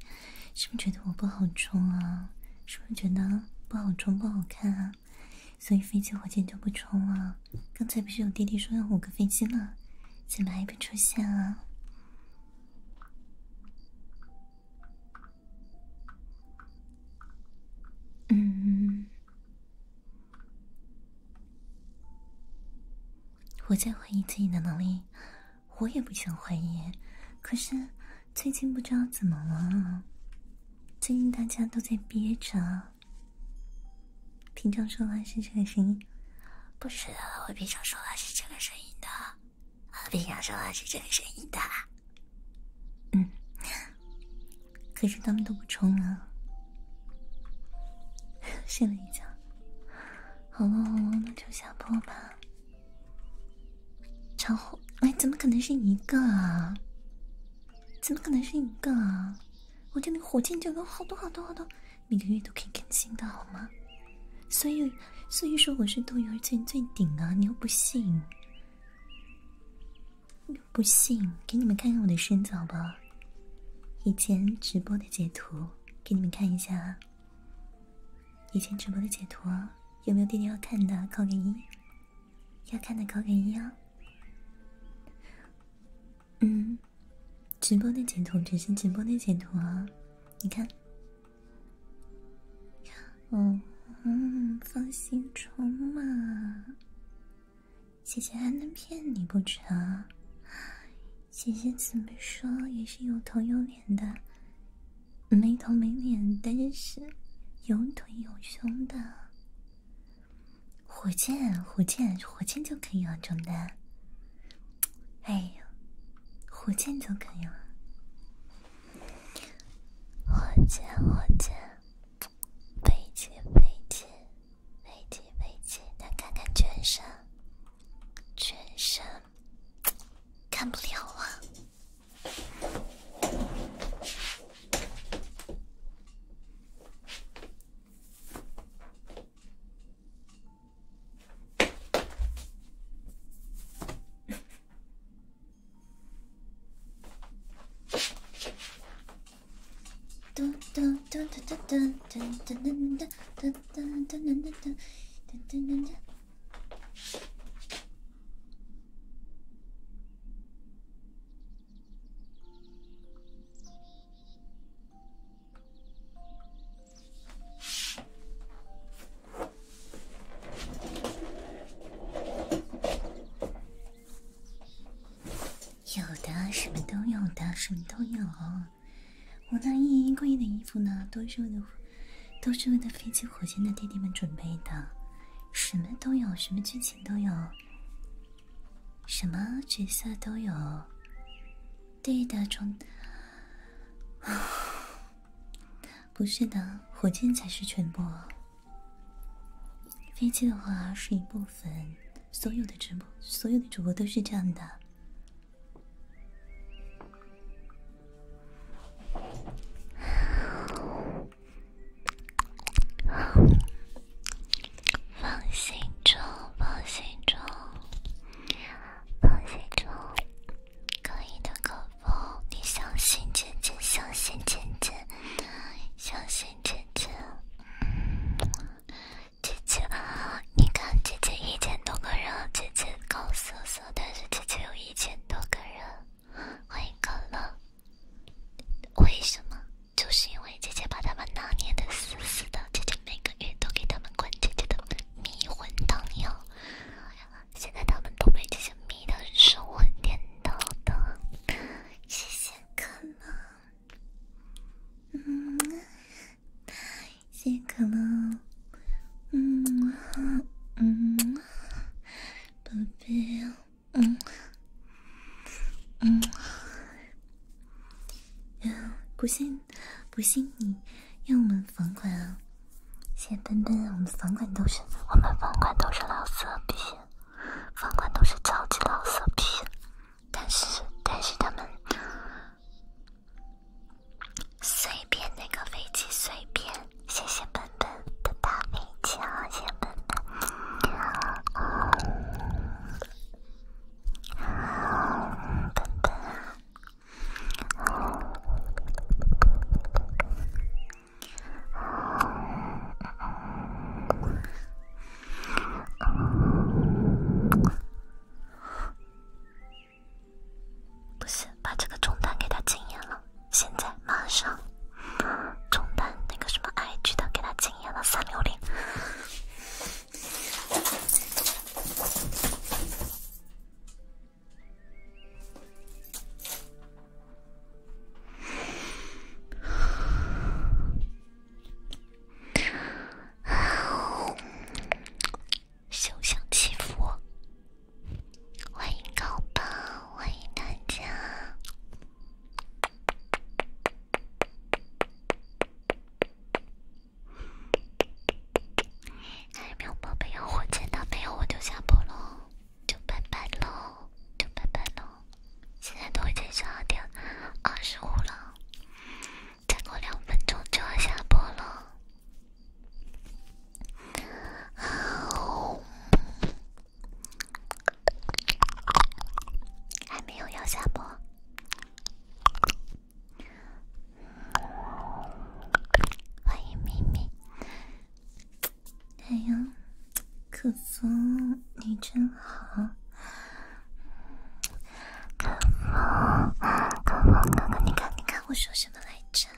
是不是觉得我不好冲啊？是不是觉得不好冲不好看啊？所以飞机火箭就不冲了？刚才不是有弟弟说要五个飞机吗？怎么还不出现啊？嗯，我在怀疑自己的能力。我也不想怀疑，可是最近不知道怎么了，最近大家都在憋着。平常说话是这个声音，不是的，我平常说话是这个声音的，我平常说话是这个声音的。嗯，可是他们都不充啊，睡了一觉，好了好了，那就下播吧。超后哎！怎么可能是一个啊？怎么可能是一个啊？我这里火箭就有好多好多好多，每个月都可以更新的好吗？所以所以说我是斗鱼最最顶啊！你又不信，又不信？给你们看看我的身不吧，以前直播的截图，给你们看一下，以前直播的截图啊。有没有弟弟要看的？扣个一，要看的扣个一哦。嗯，直播的截图，只是直播的截图啊。你看，嗯嗯，放心冲嘛，姐姐还能骗你不成？姐姐怎么说也是有头有脸的。没头没脸，但是有腿有胸的火箭，火箭，火箭就可以了，中单。哎呦，火箭就可以了，火箭，火箭，飞机，飞机，飞机，飞机。那看看全身，全身。干不了啊！噔噔噔噔噔噔噔噔噔噔噔噔噔噔噔噔噔噔噔。有的，什么都有，的什么都有。我那一柜的衣服呢，多数都。都是为了飞机、火箭的弟弟们准备的，什么都有，什么剧情都有，什么角色都有。对的，中，不是的，火箭才是全部。飞机的话是一部分，所有的直播，所有的主播都是这样的。放心中，放心中，放心中，可以的，可不？你相信姐姐，相信姐姐，相信姐姐。姐姐，你看，姐姐一千多个人，姐姐告诉。但是姐姐有一千多个人欢迎可乐，为什么？就是因为姐姐把他们拿捏的死死的，姐姐每个月都给他们灌姐姐的迷魂汤药，现在他们都被姐姐迷的神魂颠倒的，谢谢可乐。谢可乐，嗯，嗯，宝贝，嗯，嗯，呀，不信，不信你用我们房管啊！谢奔奔，我们房管都是，我们房管都是老色批，房管都是超级老色批，但是，但是他们。随便那个飞机随便，谢谢笨笨的大飞机啊，谢谢笨笨。不是，把这个中单给他经验了，现在马上，中 单那个什么艾橘的给他经验了三零零。休想欺负我！欢迎高宝，欢迎大家。还有没有宝贝要火箭的没有，我就下播喽，就拜拜喽，就拜拜喽。现在都已经十二点二十五了，再过两分钟就要下播了。还没有要下播，欢迎咪咪。哎呀，可风你真好，可风可风哥哥，你看你看，我说什么来着？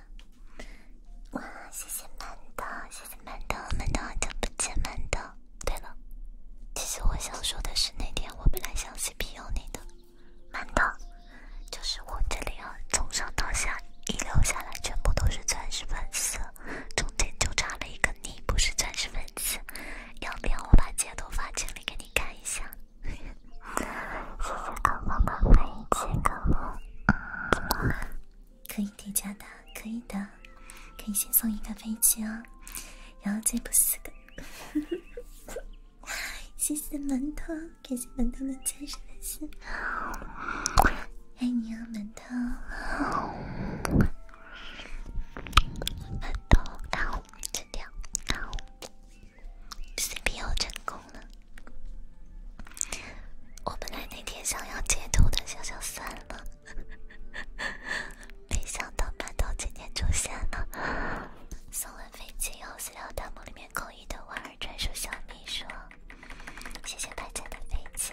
哇，谢谢馒头，谢谢馒头，馒头好久不见，馒头。对了，其实我想说的是，那天我本来想 C P U 你的，馒头，就是我这里啊，从上到下遗留下来全部都是钻石粉丝，中间就差了一个你，不是钻石粉丝，要不要我把截图发群里给你看一下？谢谢康康的飞机，康康。可以叠加的，可以的，可以先送一个飞机哦，然后再补四个。谢谢馒头，感谢馒头的真实粉丝，爱你哦，馒头。馒头，好，吃掉，好。CP 要成功了！我本来那天想要截图的，想想算了，没想到馒头今天出现了。送完飞机以后，私聊弹幕里面扣一的婉儿专属小秘书，谢谢大家的飞机。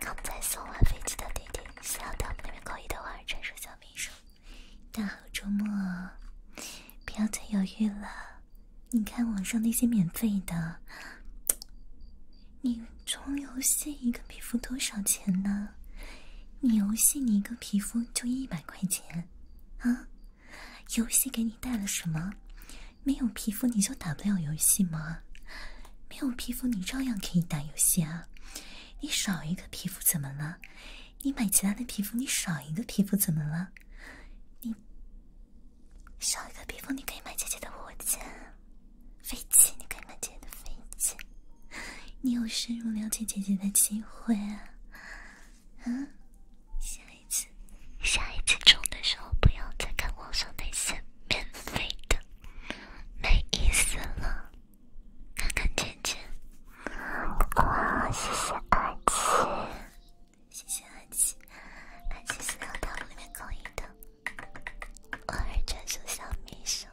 刚才送完飞机的弟弟，私聊弹幕里面扣一的婉儿专属小秘书，大好周末，不要再犹豫了。你看网上那些免费的，你充游戏一个皮肤多少钱呢？你游戏你一个皮肤就一百块钱啊？游戏给你带了什么？没有皮肤你就打不了游戏吗？没有皮肤你照样可以打游戏啊？你少一个皮肤怎么了？你买其他的皮肤，你少一个皮肤怎么了？你少一个皮肤，你可以买姐姐的火箭飞机，你可以买姐姐的飞机，你有深入了解姐姐的机会啊！嗯，下一次下一次抽的时候，不要再看网上那些免费的，没意思了，看看姐姐。哇，谢谢爱情。谢谢阿琪，阿琪是在弹幕里面扣一的，偶尔专属小秘书，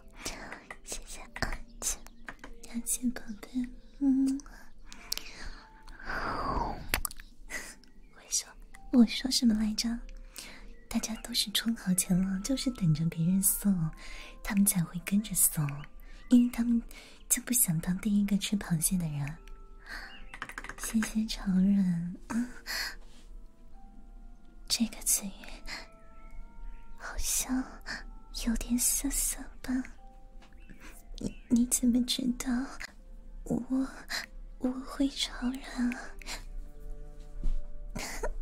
谢谢阿琪，阿琪宝贝，嗯。我说，我说什么来着？大家都是充好钱了，就是等着别人送，他们才会跟着送，因为他们。就不想当第一个吃螃蟹的人。谢谢超人，这个词语好像有点涩涩吧？你你怎么知道我我会超人啊？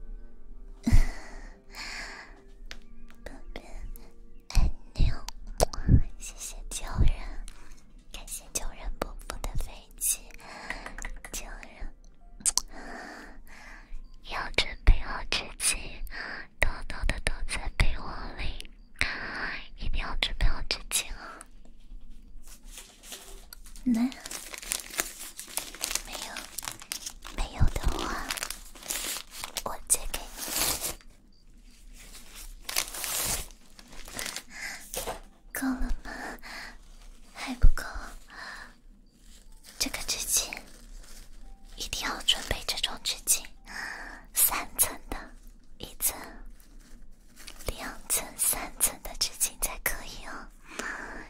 爱你有，谢谢救人，感谢救人不腐的飞机，救人，要准备好纸巾，偷偷的躲在被窝里，一定要准备好纸巾啊！没？没有？没有的话，我借给你。够了吗？还不够。这个纸巾一定要准备这种纸巾，三层的，一层、两层、三层的纸巾才可以哦。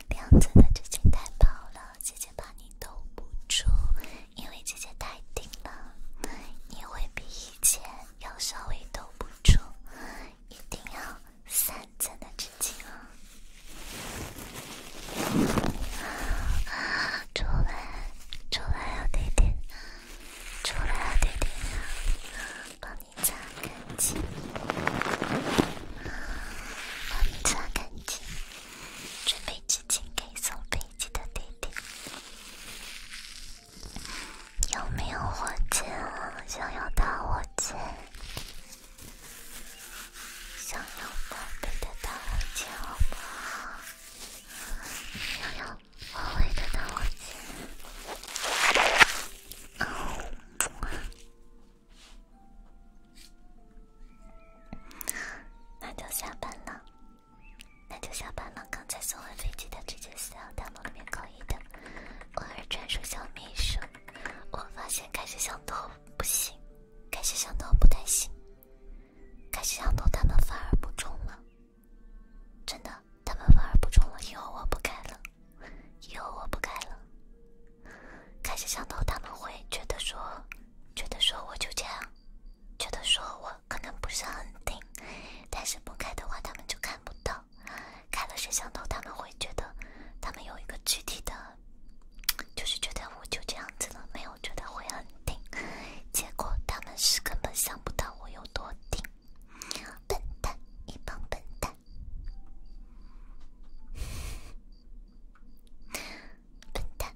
两层的纸巾太薄了，姐姐怕你兜不住。因为姐姐太顶了，你会比以前要稍微兜不住，一定要三层的纸巾哦。出来，出来呀，弟弟！出来呀，弟弟帮你擦干净，把一张干净，准备纸巾给送贝。你的弟弟有没有火箭？想要大火箭？想要宝贝的大火箭吗？想要宝贝的大火箭？那就下班了。那就下班了。刚才送完飞机的直接私聊他们里面可以的。偶尔专属小秘书。我发现开始想头不行，开始想头不太行。开始想头他们反而不中了，真的，他们反而不中了。以后我不开了，以后我不开了。开始想头他们会觉得说，觉得说我就这样，觉得说我。可能不是很顶，但是不开的话，他们就看不到。开了摄像头，他们会觉得他们有一个具体的，就是觉得我就这样子了，没有觉得会很顶。结果他们是根本想不到我有多顶，笨蛋，一帮笨蛋，笨蛋。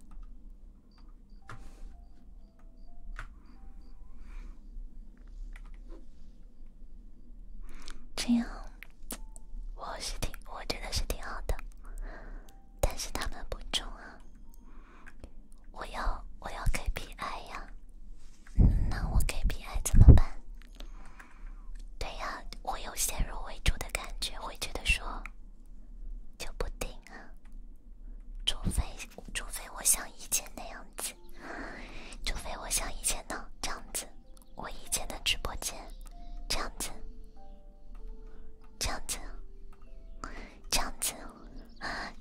这样，我是挺，我觉得是挺好的。但是他们不中啊！我要我要给 P I 呀，那我给 P I 怎么办？对呀，我有先入为主的感觉，会觉得说就不定。啊！除非除非我像以前那样子，除非我像以前的这样子，我以前的直播间这样子，这样子，这样子，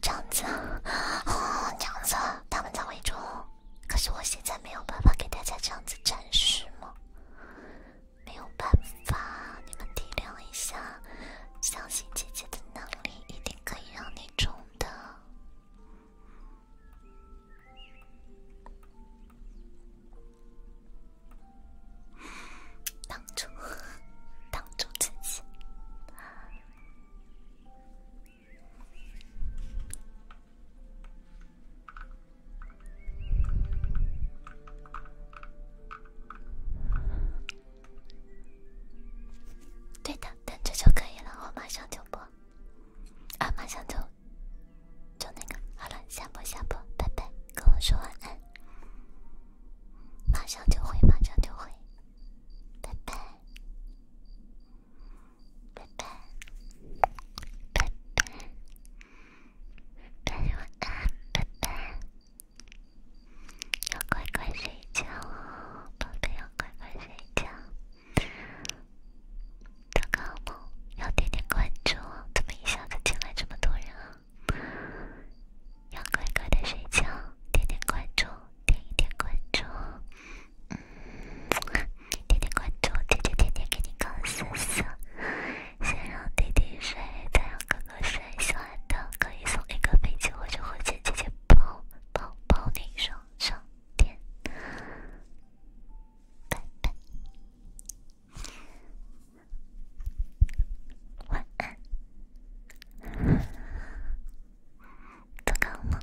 这样子，哦，这样子，他们在围中，可是我现在没有办法给大家这样子展示吗？没有办法，你们体谅一下，相信姐姐的能力。一定可以让你中的，挡住，挡 住自己。对的，等着就可以了，我马上就播，啊，马上就，就那个，好了，下播下播，拜拜，跟我说晚安，马上就会，马上就会，拜拜，拜拜，拜拜，拜拜。要乖乖睡觉，宝贝要乖乖睡觉，做个要点点关注，怎么一下子进来这么多人要乖乖的睡觉，点点关注，点一点关注，嗯，点点关注，弟弟天天给你搞色色，先让弟弟睡，再让我最喜欢的可以送一个飞机或者火箭，姐姐抱抱抱你，双双点，拜拜，晚安，做个梦。